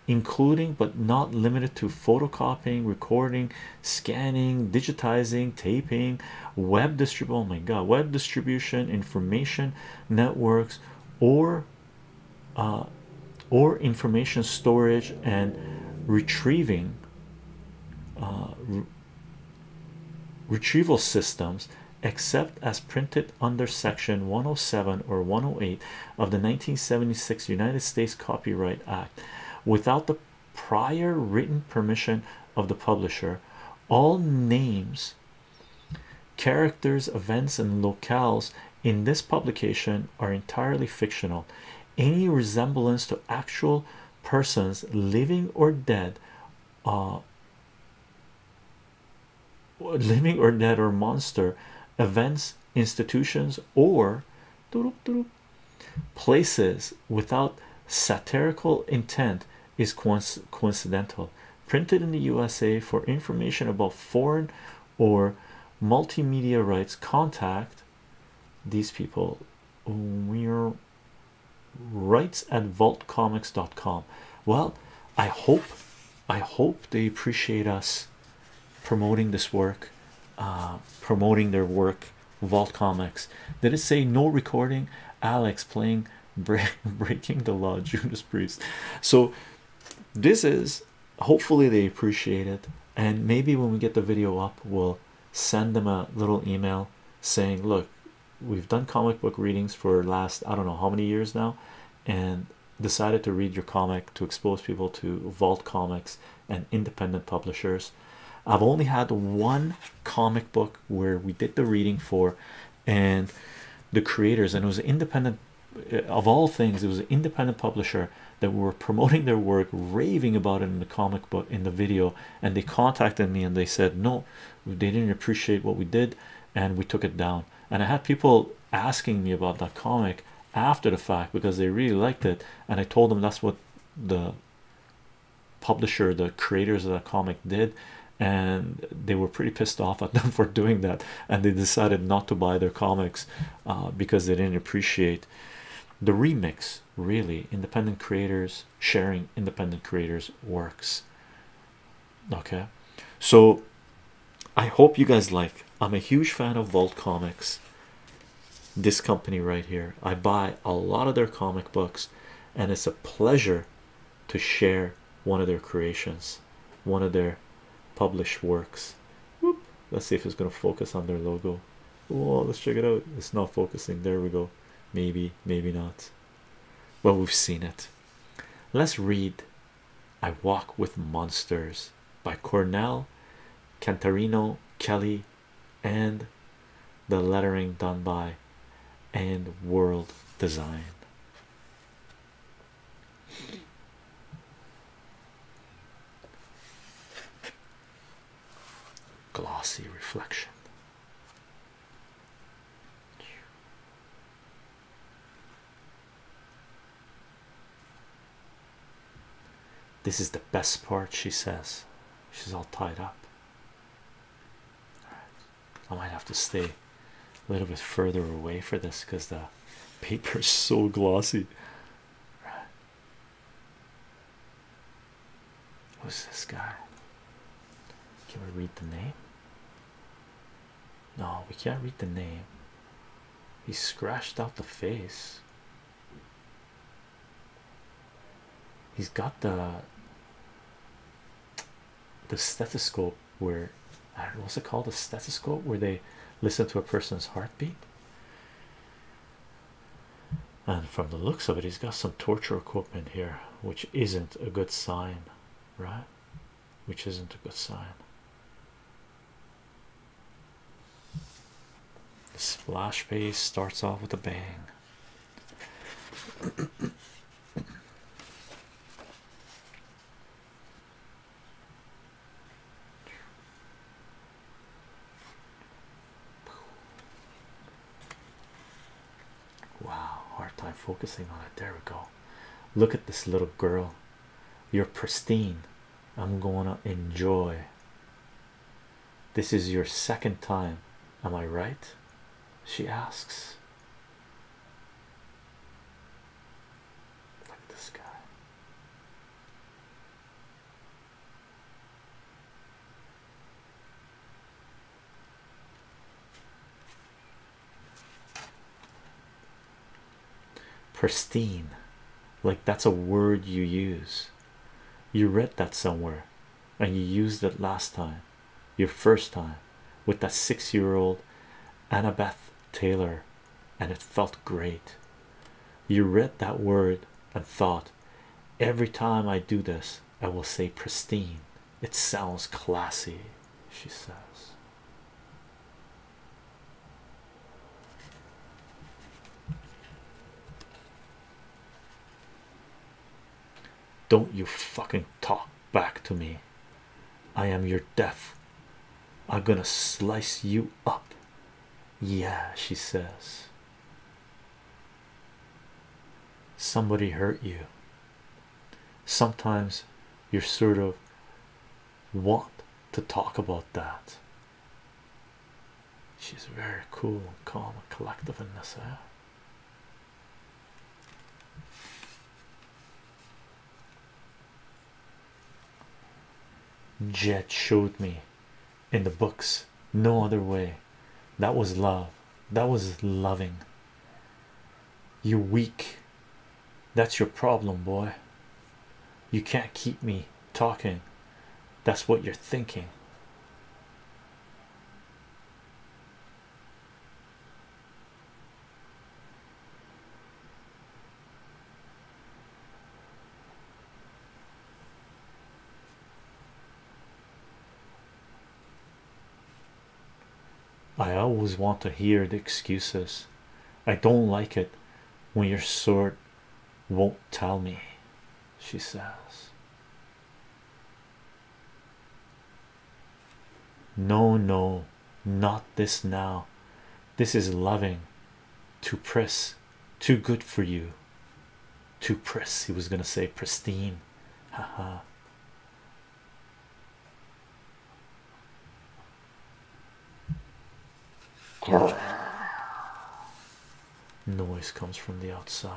including but not limited to photocopying recording scanning digitizing taping web distribution oh my god web distribution information networks or uh, or information storage and retrieving uh, retrieval systems except as printed under section 107 or 108 of the 1976 United States Copyright Act without the prior written permission of the publisher all names characters events and locales in this publication are entirely fictional any resemblance to actual persons living or dead uh, living or dead or monster events institutions or places without satirical intent is coincidental printed in the USA for information about foreign or multimedia rights contact these people we're writes at vaultcomics.com. Well, I hope I hope they appreciate us promoting this work, uh, promoting their work. Vault Comics. Did it say no recording? Alex playing <laughs> breaking the law, Judas Priest. So this is hopefully they appreciate it, and maybe when we get the video up, we'll send them a little email saying, "Look, we've done comic book readings for last I don't know how many years now, and decided to read your comic to expose people to vault comics and independent publishers. I've only had one comic book where we did the reading for, and the creators, and it was independent uh, of all things, it was an independent publisher that were promoting their work, raving about it in the comic book in the video, and they contacted me and they said, No, they didn't appreciate what we did and we took it down and i had people asking me about that comic after the fact because they really liked it and i told them that's what the publisher the creators of that comic did and they were pretty pissed off at <laughs> them for doing that and they decided not to buy their comics uh, because they didn't appreciate the remix really independent creators sharing independent creators works okay so i hope you guys like i'm a huge fan of vault comics this company right here i buy a lot of their comic books and it's a pleasure to share one of their creations one of their published works let's see if it's going to focus on their logo oh let's check it out it's not focusing there we go maybe maybe not well, we've seen it. Let's read I Walk with Monsters by Cornell, Cantarino, Kelly, and the lettering done by and World Design. Glossy reflection. This is the best part, she says. She's all tied up. I might have to stay a little bit further away for this because the paper is so glossy. Who's this guy? Can we read the name? No, we can't read the name. He scratched out the face. He's got the the stethoscope where I do what's it called, the stethoscope where they listen to a person's heartbeat and from the looks of it he's got some torture equipment here which isn't a good sign right which isn't a good sign the splash page starts off with a bang Wow, hard time focusing on it. There we go. Look at this little girl. You're pristine. I'm gonna enjoy. This is your second time. Am I right? She asks. Look this guy pristine like that's a word you use you read that somewhere and you used it last time your first time with that six-year-old annabeth taylor and it felt great you read that word and thought every time i do this i will say pristine it sounds classy, she says. Don't you fucking talk back to me. I am your death. I'm gonna slice you up. Yeah, she says. Somebody hurt you sometimes you're sort of want to talk about that. She's very cool, and calm, and collective in this. air. Eh? Jet showed me in the books, no other way. That was love. That was loving. You weak. That's your problem, boy. You can't keep me talking. That's what you're thinking. I always want to hear the excuses. I don't like it when your sort won't tell me, she says. No, no, not this now. This is loving. Too press, too good for you. Too press, he was gonna say pristine. Ha ha. Noise comes from the outside.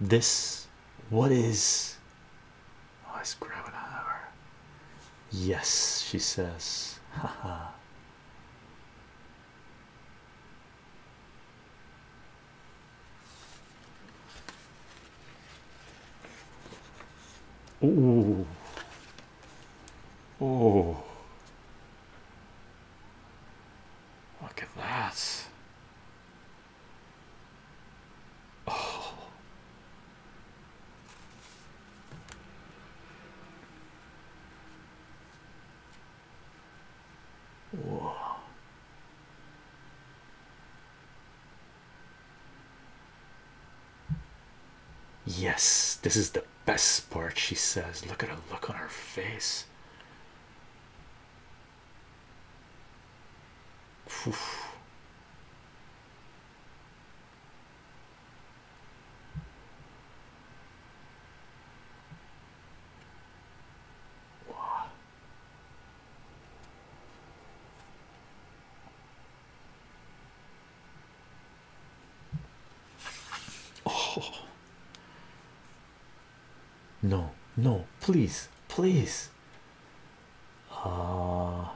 This, what is? Oh, it's scrap an hour. Yes, she says, haha. Oh, oh, look at that. Oh, Whoa. Yes, this is the best part, she says. Look at her look on her face. Oof. Wow. Oh. No, no, please, please. Uh,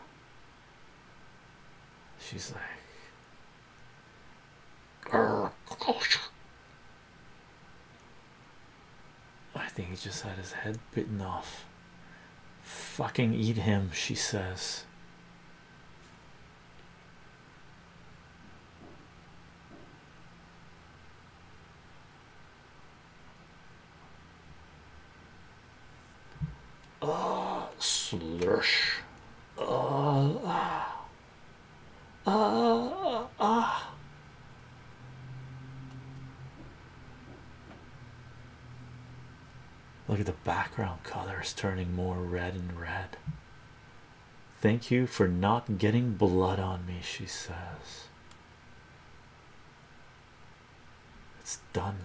she's like, I think he just had his head bitten off. Fucking eat him, she says. Ah, slush. Ah, ah, ah, ah. Look at the background colors turning more red and red. Thank you for not getting blood on me, she says. It's done.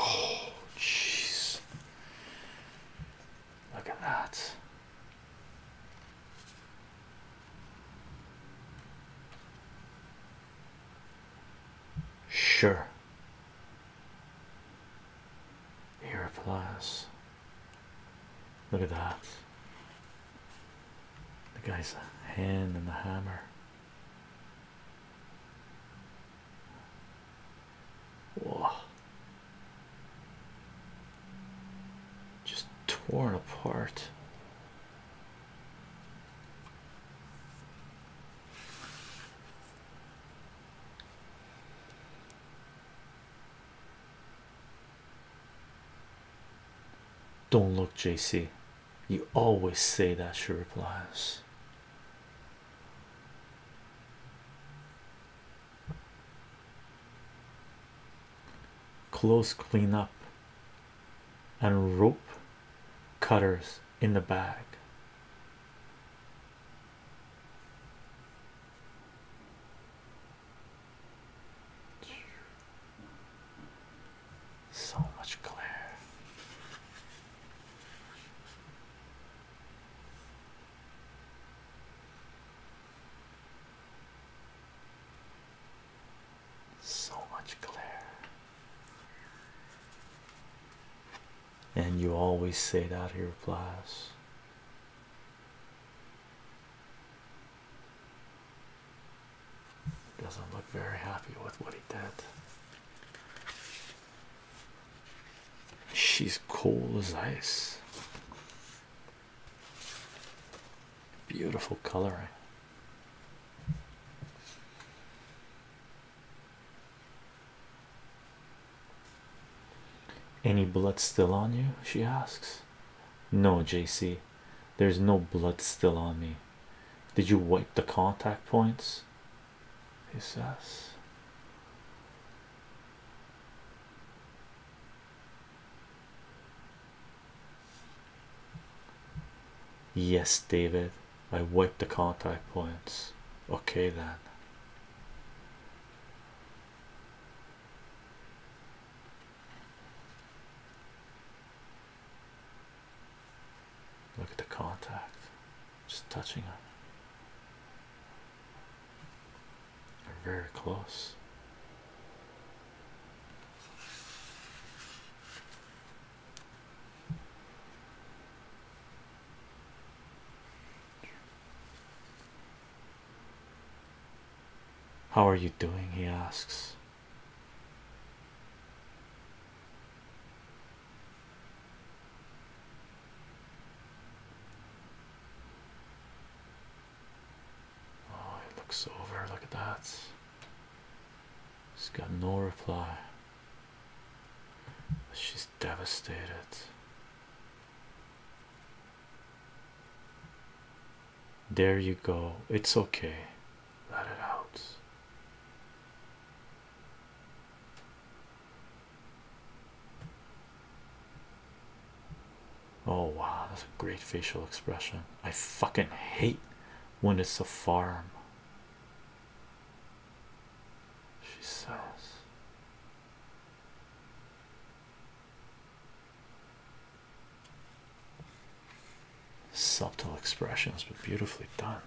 Oh, jeez. Look at that. Sure here it flies. Look at that. The guy's hand and the hammer. Whoa. Just torn apart. Don't look, JC. You always say that, she replies. Clothes clean up and rope cutters in the bag. So much glare. So much glare. And you always say that, he replies. Doesn't look very happy with what he did. She's cold as ice. Beautiful coloring. Any blood still on you? She asks. No, JC, there's no blood still on me. Did you wipe the contact points? He says. Yes, David, I wiped the contact points. Okay, then. Look at the contact, just touching them. They're very close. How are you doing? He asks. Oh, it looks over. Look at that. She's got no reply. She's devastated. There you go. It's okay. Let it out. Oh wow, that's a great facial expression. I fucking hate when it's a farm. She says, Subtle expressions, but beautifully done.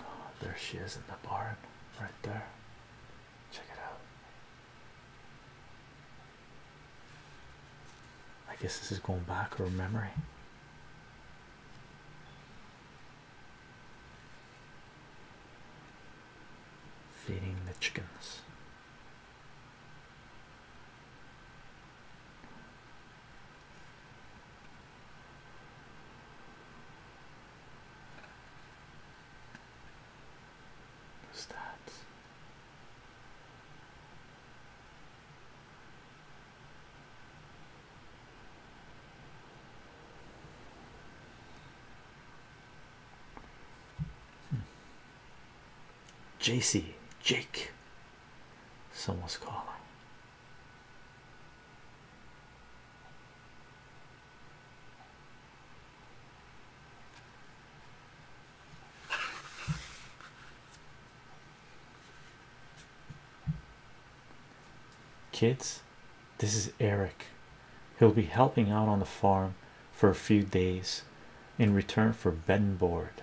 Oh, there she is in the barn right there. Check it out. I guess this is going back her memory. Feeding the chickens. Who's that? JC Jake someone's calling Kids, this is Eric. He'll be helping out on the farm for a few days in return for bed and board.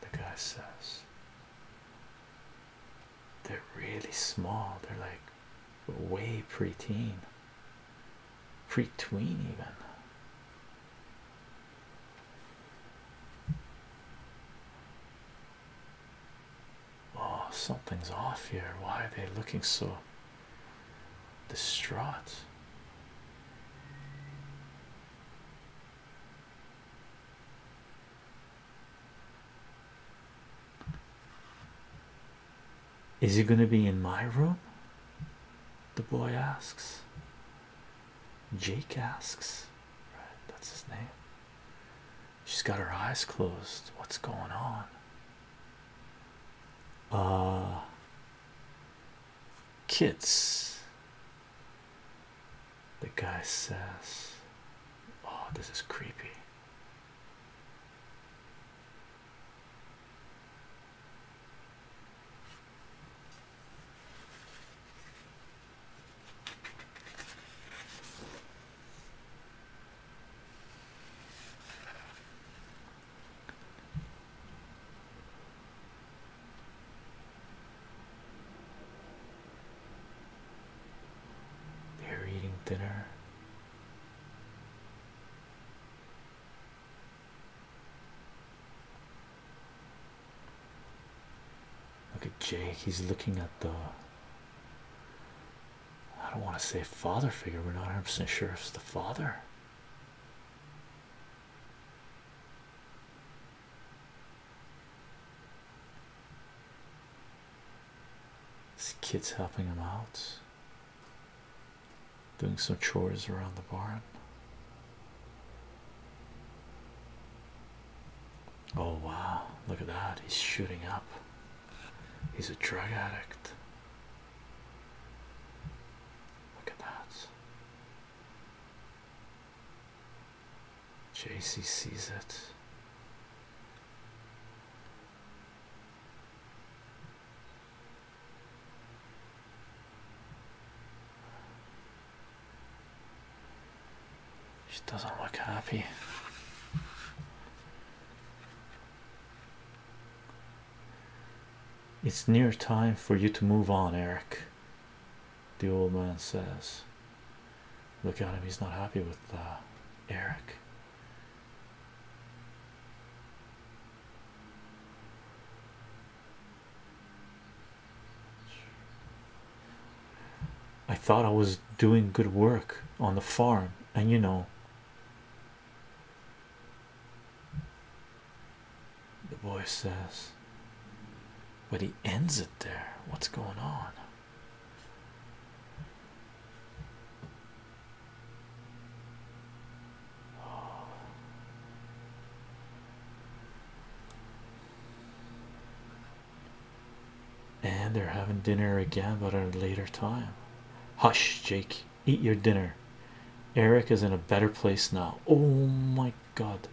The guy says, they're really small. They're like way preteen, pre-tween even. Oh, something's off here. Why are they looking so distraught? Is he going to be in my room? The boy asks. Jake asks. that's his name. She's got her eyes closed. What's going on? Uh, kids. The guy says, Oh, this is creepy. They're eating dinner Look at Jake, he's looking at the I don't want to say father figure, we're not 100% sure if it's the father. This kid's helping him out doing some chores around the barn. Oh, wow, look at that! He's shooting up, he's a drug addict. Look at that. JC sees it. She doesn't look happy. It's near time for you to move on, Eric. The old man says, Look at him, he's not happy with uh, Eric. I thought I was doing good work on the farm, and you know, the boy says, but he ends it there. What's going on? And they're having dinner again, but at a later time. Hush, Jake, eat your dinner. Eric is in a better place now. Oh my god.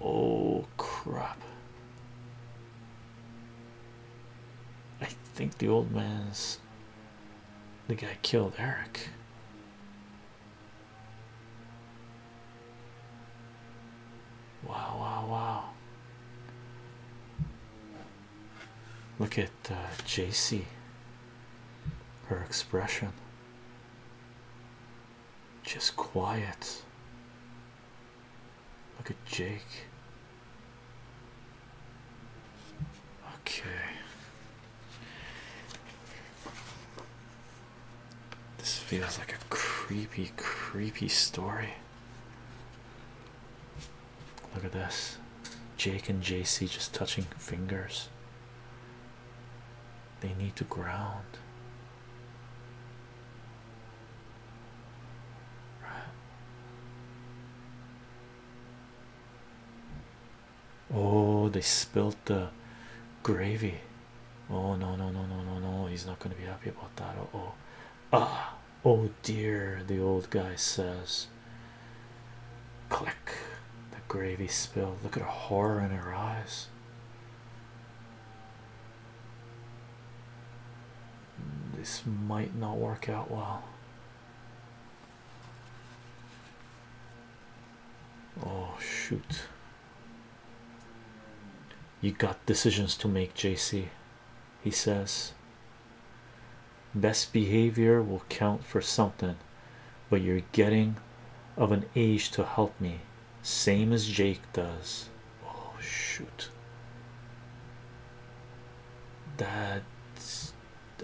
Oh crap. I think the old man's the guy killed Eric. Wow, wow, wow. Look at uh, JC, her expression. Just quiet. Look at Jake. Okay. This feels like a creepy, creepy story. Look at this. Jake and JC just touching fingers. They need to ground. Oh, they spilt the gravy. Oh no no no no no no! He's not going to be happy about that. oh, ah, oh dear! The old guy says. Click. The gravy spilled. Look at the horror in her eyes. This might not work out well. Oh, shoot. You got decisions to make, JC. He says, Best behavior will count for something, but you're getting of an age to help me same as Jake does. Oh, shoot. That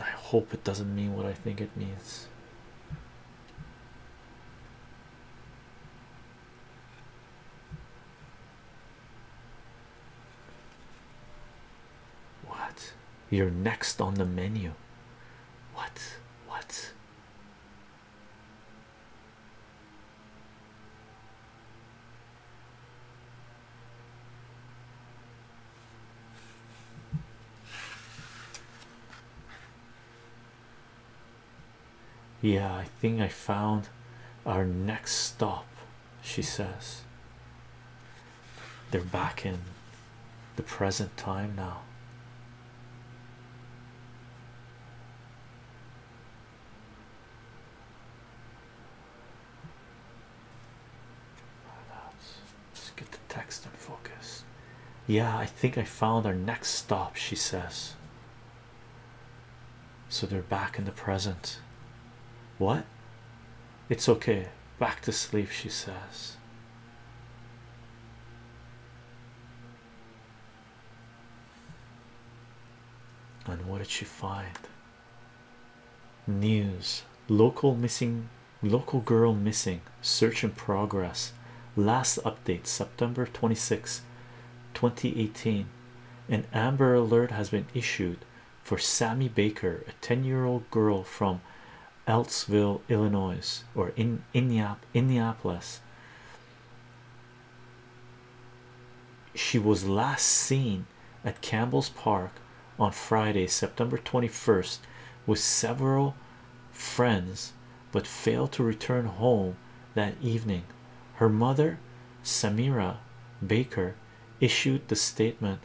I hope it doesn't mean what I think it means. What? You're next on the menu. What? What? Yeah, I think I found our next stop, she says. They're back in the present time now. Let's get the text in focus. Yeah, I think I found our next stop, she says. So they're back in the present. What? It's okay. Back to sleep, she says. And what did she find? News local missing local girl missing search in progress last update September 26 2018 an amber alert has been issued for Sammy Baker a 10-year-old girl from Eltsville Illinois or in Indianapolis she was last seen at Campbell's Park on Friday, September 21st, with several friends, but failed to return home that evening. Her mother, Samira Baker, issued the statement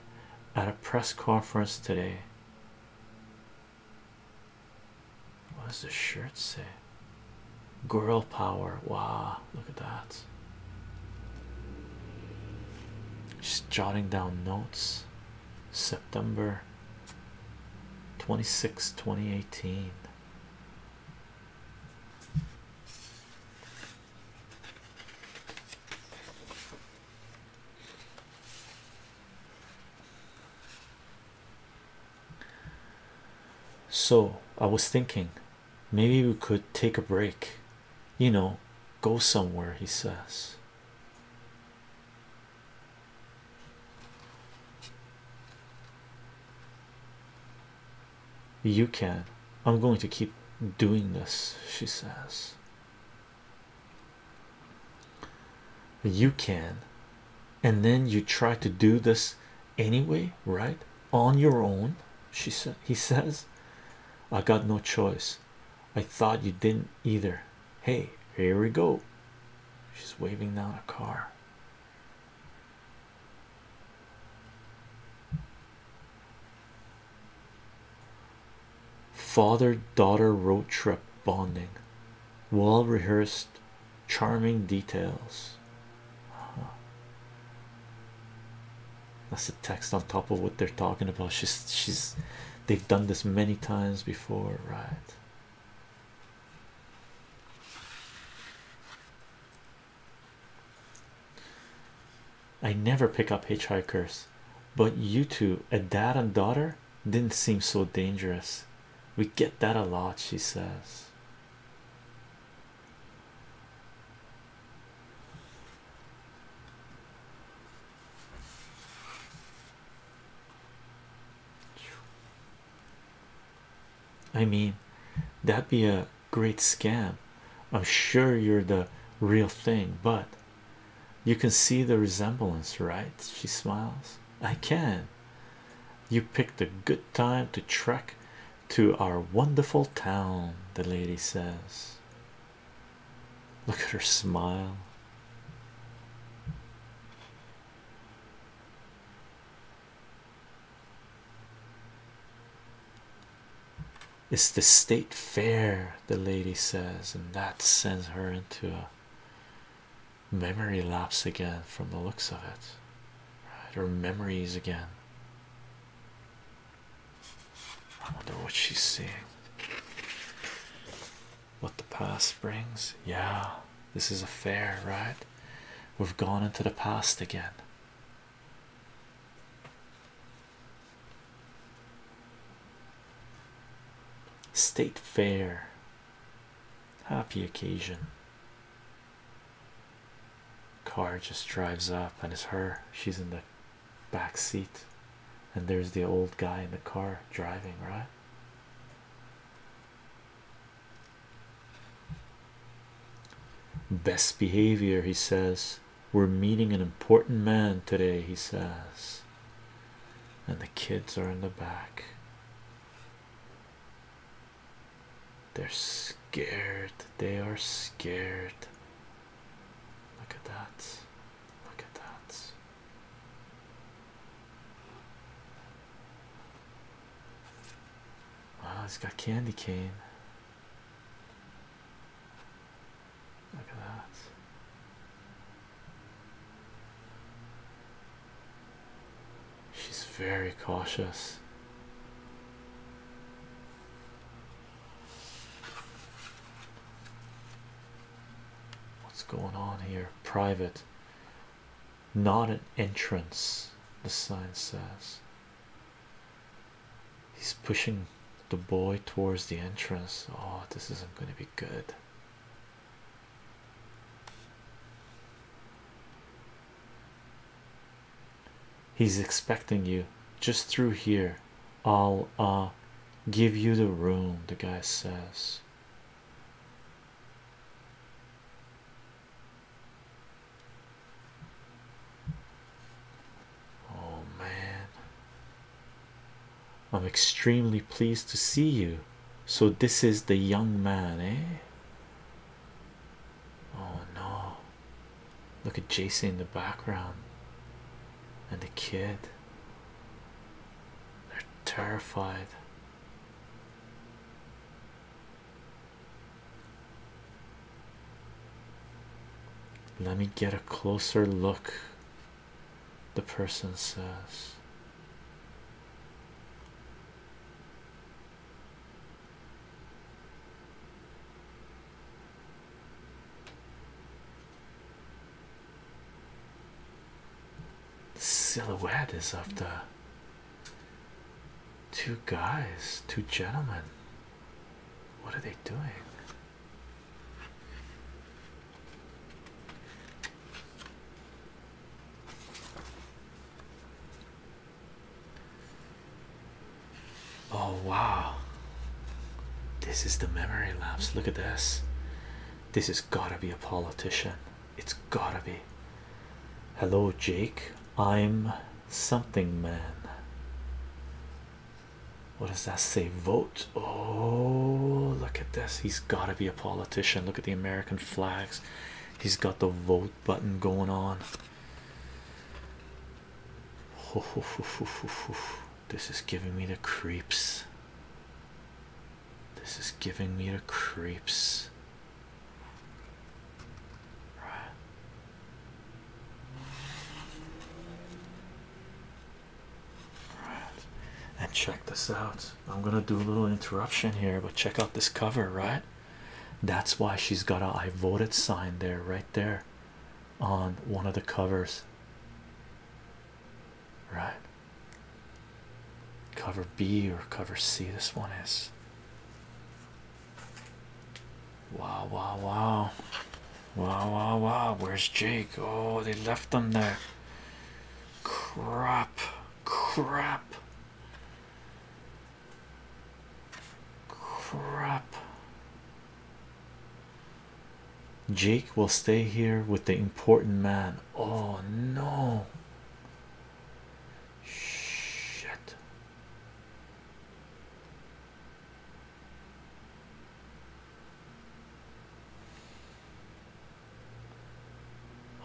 at a press conference today. What does the shirt say? Girl power. Wow, look at that. She's jotting down notes. September 26, 2018. So I was thinking maybe we could take a break, you know, go somewhere, he says. You can. I'm going to keep doing this, she says. You can, and then you try to do this anyway, right? On your own, she said. He says, I got no choice. I thought you didn't either. Hey, here we go. She's waving down a car. Father daughter road trip bonding, well rehearsed charming details. Uh-huh. That's the text on top of what they're talking about. She's she's they've done this many times before, right? I never pick up hitchhikers, but you two, a dad and daughter, didn't seem so dangerous. We get that a lot, she says. I mean, that'd be a great scam. I'm sure you're the real thing, but you can see the resemblance, right? She smiles. I can. You picked a good time to trek to our wonderful town, the lady says. Look at her smile. It's the state fair, the lady says, and that sends her into a memory laps again from the looks of it right or memories again i wonder what she's seeing what the past brings yeah this is a fair right we've gone into the past again State fair, happy occasion car just drives up and it's her she's in the back seat and there's the old guy in the car driving right best behavior he says we're meeting an important man today he says and the kids are in the back they're scared. They are scared. Look at that. Look at that. Wow, it has got candy cane. Look at that. She's very cautious. What's going on here? Private, not an entrance, the sign says. He's pushing the boy towards the entrance. Oh, this isn't going to be good. He's expecting you just through here. I'll uh give you the room, the guy says. Oh man, I'm extremely pleased to see you. So, this is the young man, eh? Oh no. Look at Jason in the background and the kid. They're terrified. Let me get a closer look, the person says silhouette is of the two guys, two gentlemen. What are they doing? Oh, wow, this is the memory lapse. Look at this. This has got to be a politician, it's got to be. Hello, Jake. I'm something man. What does that say? Vote. Oh, look at this. He's got to be a politician. Look at the American flags. He's got the vote button going on. This is giving me the creeps. This is giving me the creeps. And check this out. I'm gonna do a little interruption here, but check out this cover, right? That's why she's got a I voted sign there, right there on one of the covers. Right, cover B or cover C. This one is wow, wow, wow, wow, wow, wow. Where's Jake? Oh, they left them there. Crap, crap. Crap. Jake will stay here with the important man. Oh no. Shit.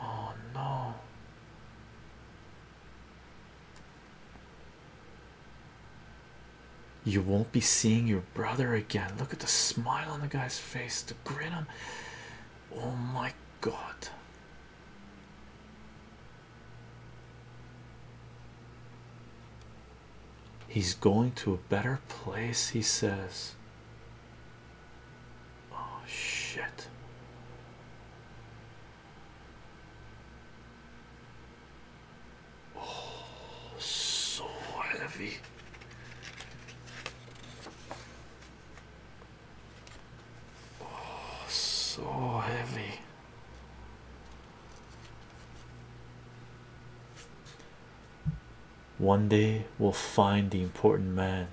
Oh no. You won't be seeing your brother again. Look at the smile on the guy's face, the grin on. Oh my god. He's going to a better place, he says. Oh shit. Oh, so heavy. Oh, so heavy. One day we'll find the important man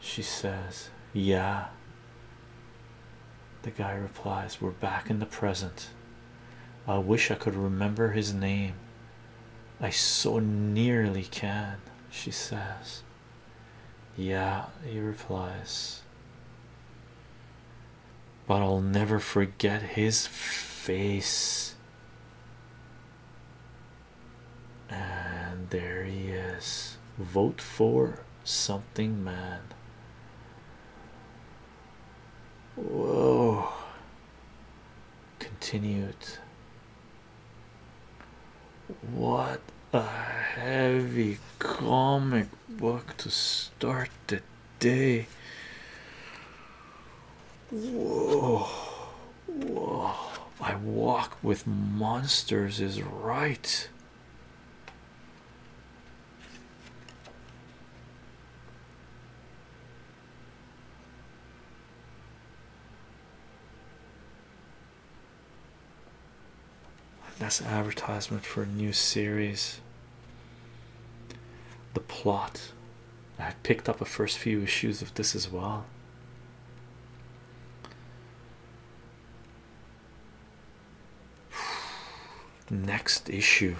she says, Yeah. The guy replies, We're back in the present. I wish I could remember his name. I so nearly can, she says. Yeah, he replies. But I'll never forget his face. And there he is. Vote for something man whoa continued what a heavy comic book to start the day whoa whoa i walk with monsters is right that's an advertisement for a new series. The plot. I picked up a first few issues of this as well. Next issue.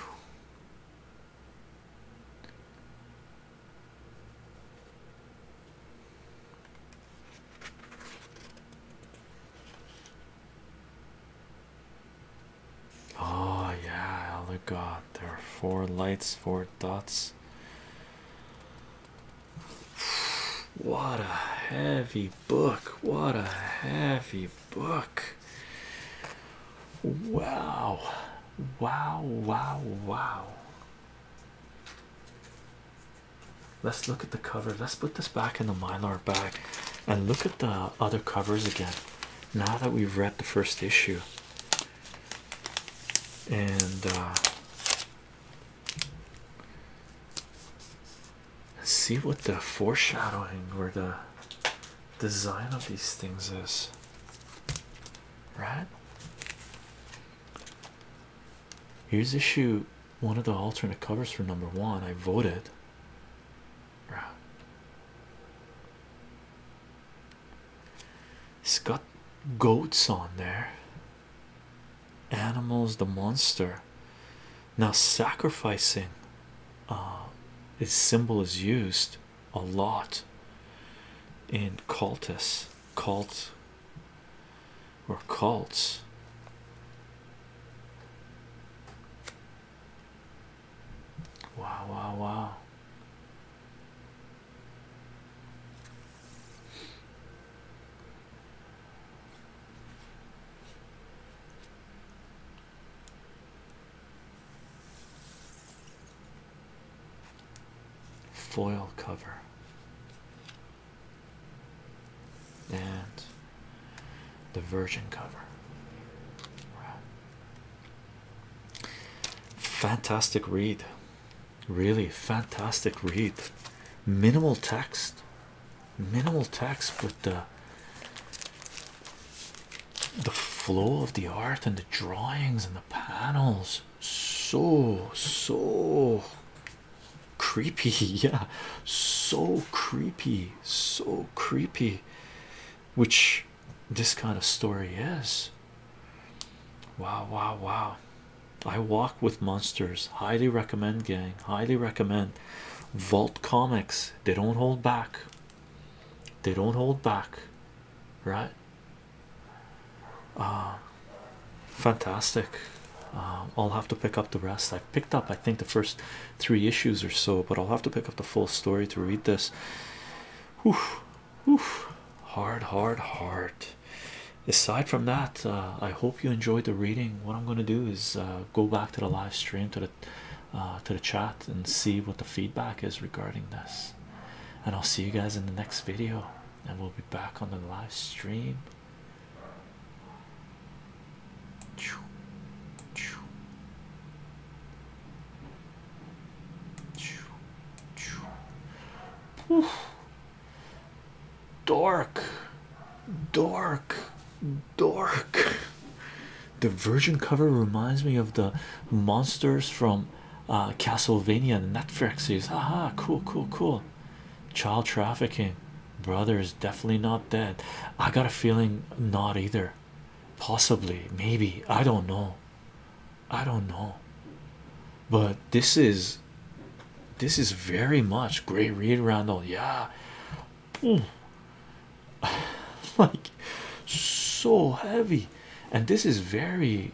Oh, yeah, elder god. There are four lights, four dots. What a heavy book! What a heavy book! Wow, wow, wow, wow. Let's look at the cover. Let's put this back in the mylar bag and look at the other covers again now that we've read the first issue. And uh, see what the foreshadowing or the design of these things is, right? Here's issue one of the alternate covers for number one. I voted. Right. It's got goats on there animals the monster now sacrificing uh this symbol is used a lot in cultus, cult or cults wow wow wow foil cover and the virgin cover fantastic read really fantastic read minimal text minimal text but the the flow of the art and the drawings and the panels so so creepy <laughs> yeah so creepy so creepy which this kind of story is wow wow wow i walk with monsters highly recommend gang highly recommend Vault Comics, they don't hold back. They don't hold back, right? Uh, fantastic. Uh, I'll have to pick up the rest. I have picked up, I think, the first three issues or so, but I'll have to pick up the full story to read this. Whoo, whoo, hard, hard, hard. Aside from that, uh, I hope you enjoyed the reading. What I'm gonna do is uh, go back to the live stream to the uh, to the chat and see what the feedback is regarding this. And I'll see you guys in the next video. And we'll be back on the live stream. Dork, dork, dork. The Virgin cover reminds me of the monsters from uh, Castlevania and Netflix. ah haha, cool, cool, cool. Child trafficking, brother is definitely not dead. I got a feeling not either. Possibly, maybe. I don't know. I don't know. But this is this is very much great read, Randall. Yeah, <laughs> like so heavy, and this is very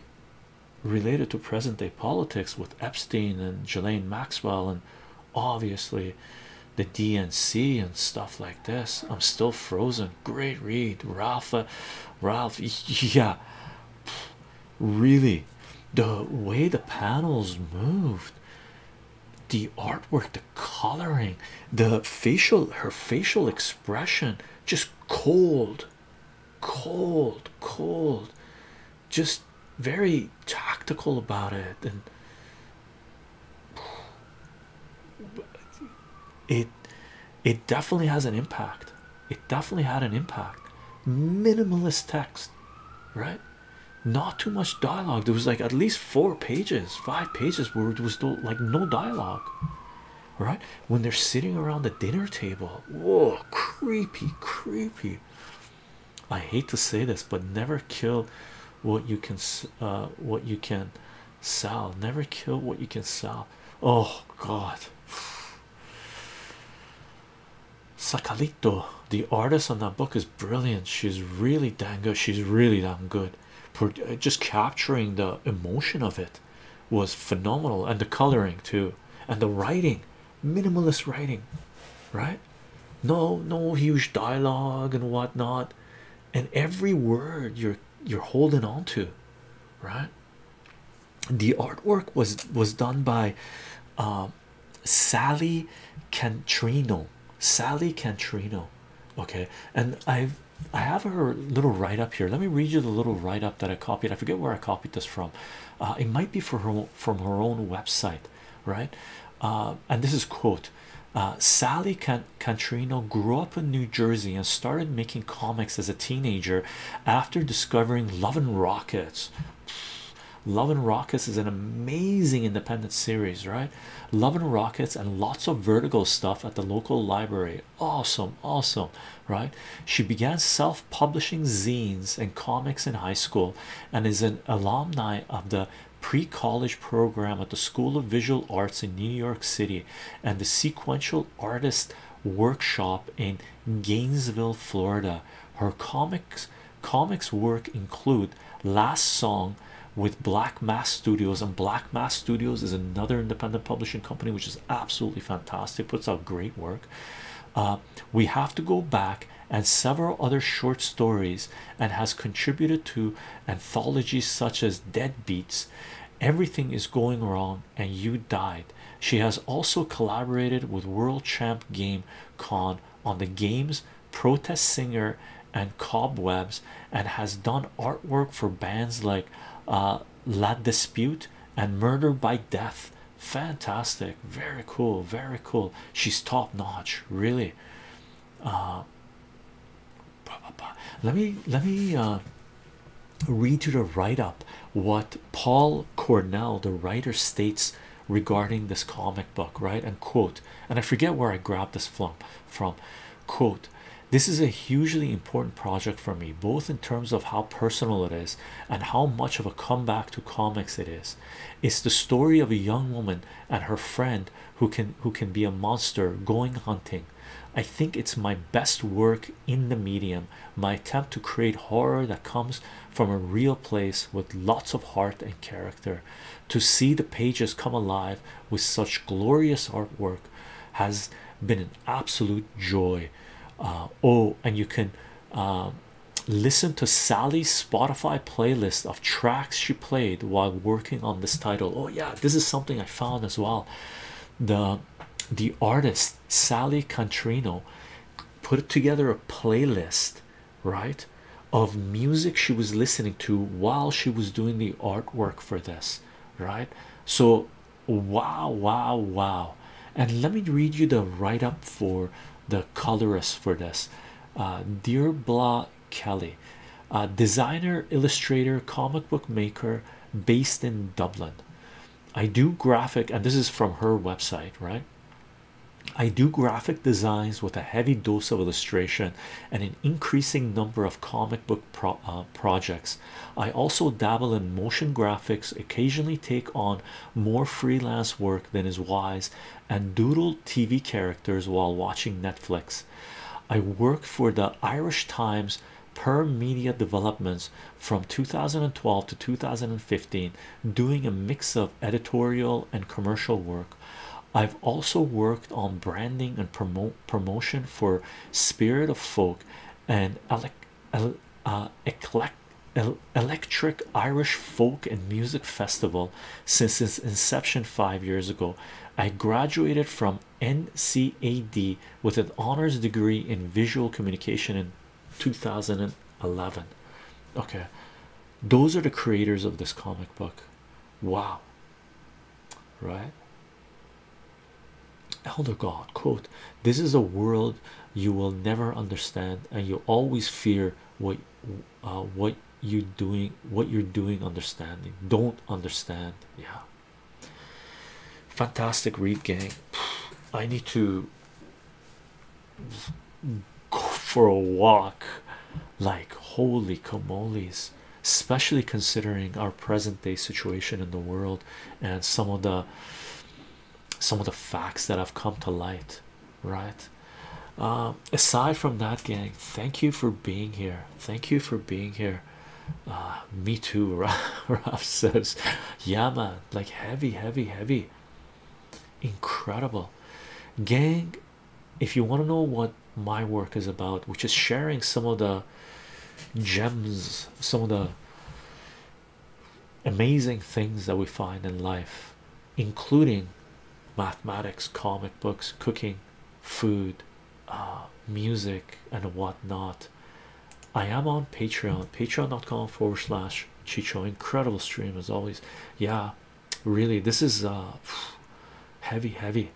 related to present day politics with Epstein and Ghislaine Maxwell, and obviously the DNC and stuff like this. I'm still frozen. Great read, Ralph. Ralph, <laughs> yeah, really. The way the panels moved the artwork, the coloring, the facial, her facial expression just cold, cold, cold, just very tactical about it. And it it definitely has an impact. It definitely had an impact. Minimalist text, right? not too much dialogue there was like at least four pages five pages where it was like no dialogue right when they're sitting around the dinner table whoa creepy creepy i hate to say this but never kill what you can uh, what you can sell never kill what you can sell oh god Sakalito, the artist on that book, is brilliant. She's really dang good. She's really dang good. Uh, just capturing the emotion of it was phenomenal, and the coloring too, and the writing, minimalist writing, right? No, no huge dialogue and whatnot, and every word you're you're holding on to, right? The artwork was was done by. Um, Sally Cantrino. Sally Cantrino. Okay, and I've I have her little write up here. Let me read you the little write up that I copied. I forget where I copied this from. Uh, it might be for her from her own website, right? Uh, and this is quote. Uh, Sally Cantrino grew up in New Jersey and started making comics as a teenager after discovering Love and Rockets Love and Rockets is an amazing independent series, right? Love and Rockets and lots of vertical stuff at the local library. Awesome, awesome, right? She began self publishing zines and comics in high school and is an alumni of the pre college program at the School of Visual Arts in New York City and the Sequential Artist Workshop in Gainesville, Florida. Her comics Comics work include Last Song with Black Mass Studios, and Black Mass Studios is another independent publishing company which is absolutely fantastic, puts out great work. Uh, we have to go back and several other short stories, and has contributed to anthologies such as "Dead Beats," Everything is going wrong, and you died. She has also collaborated with World Champ Game Con on the games protest singer and cobwebs and has done artwork for bands like uh, Lad Dispute and Murder by Death. Fantastic, very cool, very cool. She's top notch, really. Uh, let me let me uh, read you the write up what Paul Cornell, the writer, states regarding this comic book, right? And quote, and I forget where I grabbed this from from quote, this is a hugely important project for me, both in terms of how personal it is and how much of a comeback to comics it is. It's the story of a young woman and her friend who can who can be a monster going hunting. I think it's my best work in the medium, my attempt to create horror that comes from a real place with lots of heart and character to see the pages come alive with such glorious artwork has been an absolute joy. Uh, oh, and you can um, listen to Sally's Spotify playlist of tracks she played while working on this title. Oh, yeah, this is something I found as well. The the artist Sally Cantrino put together a playlist right of music she was listening to while she was doing the artwork for this right so wow wow wow and let me read you the write-up for the colorist for this uh, dear Bla kelly uh, designer illustrator comic book maker based in dublin i do graphic and this is from her website right I do graphic designs with a heavy dose of illustration and an increasing number of comic book uh, projects. I also dabble in motion graphics, occasionally take on more freelance work than is wise, and doodle TV characters while watching Netflix. I worked for the Irish Times per media developments from 2012 to 2015 doing a mix of editorial and commercial work I've also worked on branding and promotion for Spirit of Folk and uh, electric Irish folk and music festival since its inception five years ago. I graduated from NCAD with an honors degree in visual communication in 2011. Okay, those are the creators of this comic book. Wow, right? Elder God, quote, This is a world you will never understand, and you always fear what uh, what you doing what you're doing understanding don't understand yeah fantastic read gang <sighs> i need to for a walk like holy camoles especially considering our present day situation in the world and some of the some of the facts that have come to light right um, aside from that gang thank you for being here thank you for being here uh, me too <laughs> Ralph says yeah like heavy heavy heavy incredible gang if you want to know what my work is about, which is sharing some of the gems, some of the amazing things that we find in life, including mathematics, comic books, cooking, food, uh, music, and whatnot. I am on Patreon, patreon.com forward slash Chicho. Incredible stream as always. Yeah, really this is uh, heavy heavy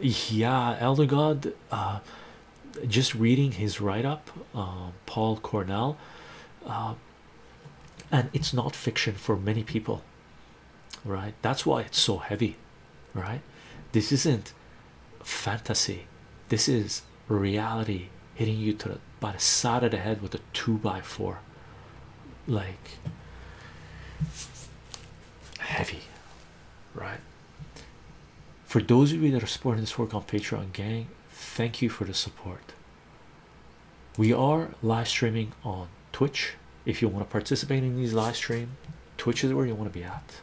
yeah elder god uh, just reading his write-up uh, paul cornell and it's not fiction for many people right that's why it's so heavy right this isn't fantasy this is reality hitting you to by the side of the head with a two by four like heavy, right? For those of you that are supporting this work on Patreon, gang, thank you for the support. We are live streaming on Twitch. If you want to participate in these live stream, Twitch is where you want to be at.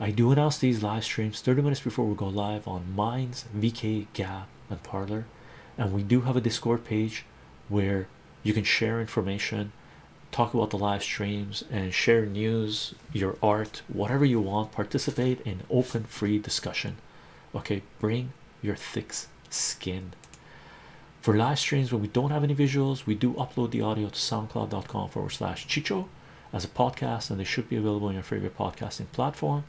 I do announce these live streams 30 minutes before we go live on Minds, VK, Gab, and Parlor. And we do have a Discord page where you can share information, talk about the live streams, and share news, your art, whatever you want. Participate in open, free discussion. Okay, bring your thick skin. For live streams when we don't have any visuals, we do upload the audio to soundcloud.com forward slash chicho as a podcast, and they should be available on your favorite podcasting platform.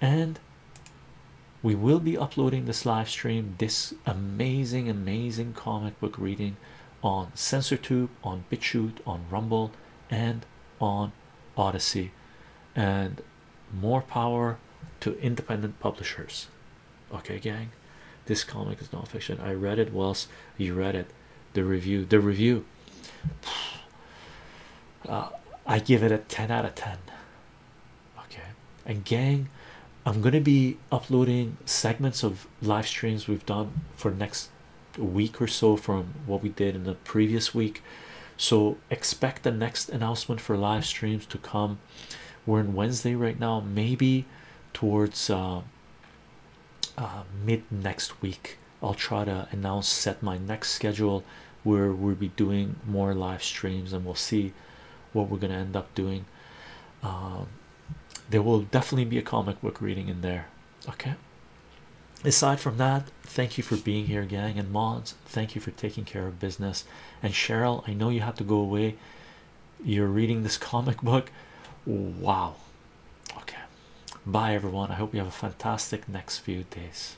And we will be uploading this live stream this amazing amazing comic book reading on SensorTube on BitChute on Rumble and on Odyssey and more power to independent publishers okay gang this comic is nonfiction. I read it whilst you read it the review the review <sighs> uh, I give it a 10 out of 10 okay and gang i'm gonna be uploading segments of live streams we've done for next week or so from what we did in the previous week so expect the next announcement for live streams to come we're in wednesday right now maybe towards uh, uh, mid next week i'll try to announce set my next schedule where we'll be doing more live streams and we'll see what we're gonna end up doing. Um, there will definitely be a comic book reading in there. Okay. Aside from that, thank you for being here, gang, and mods. Thank you for taking care of business. And Cheryl, I know you have to go away. You're reading this comic book. Wow. Okay. Bye, everyone. I hope you have a fantastic next few days.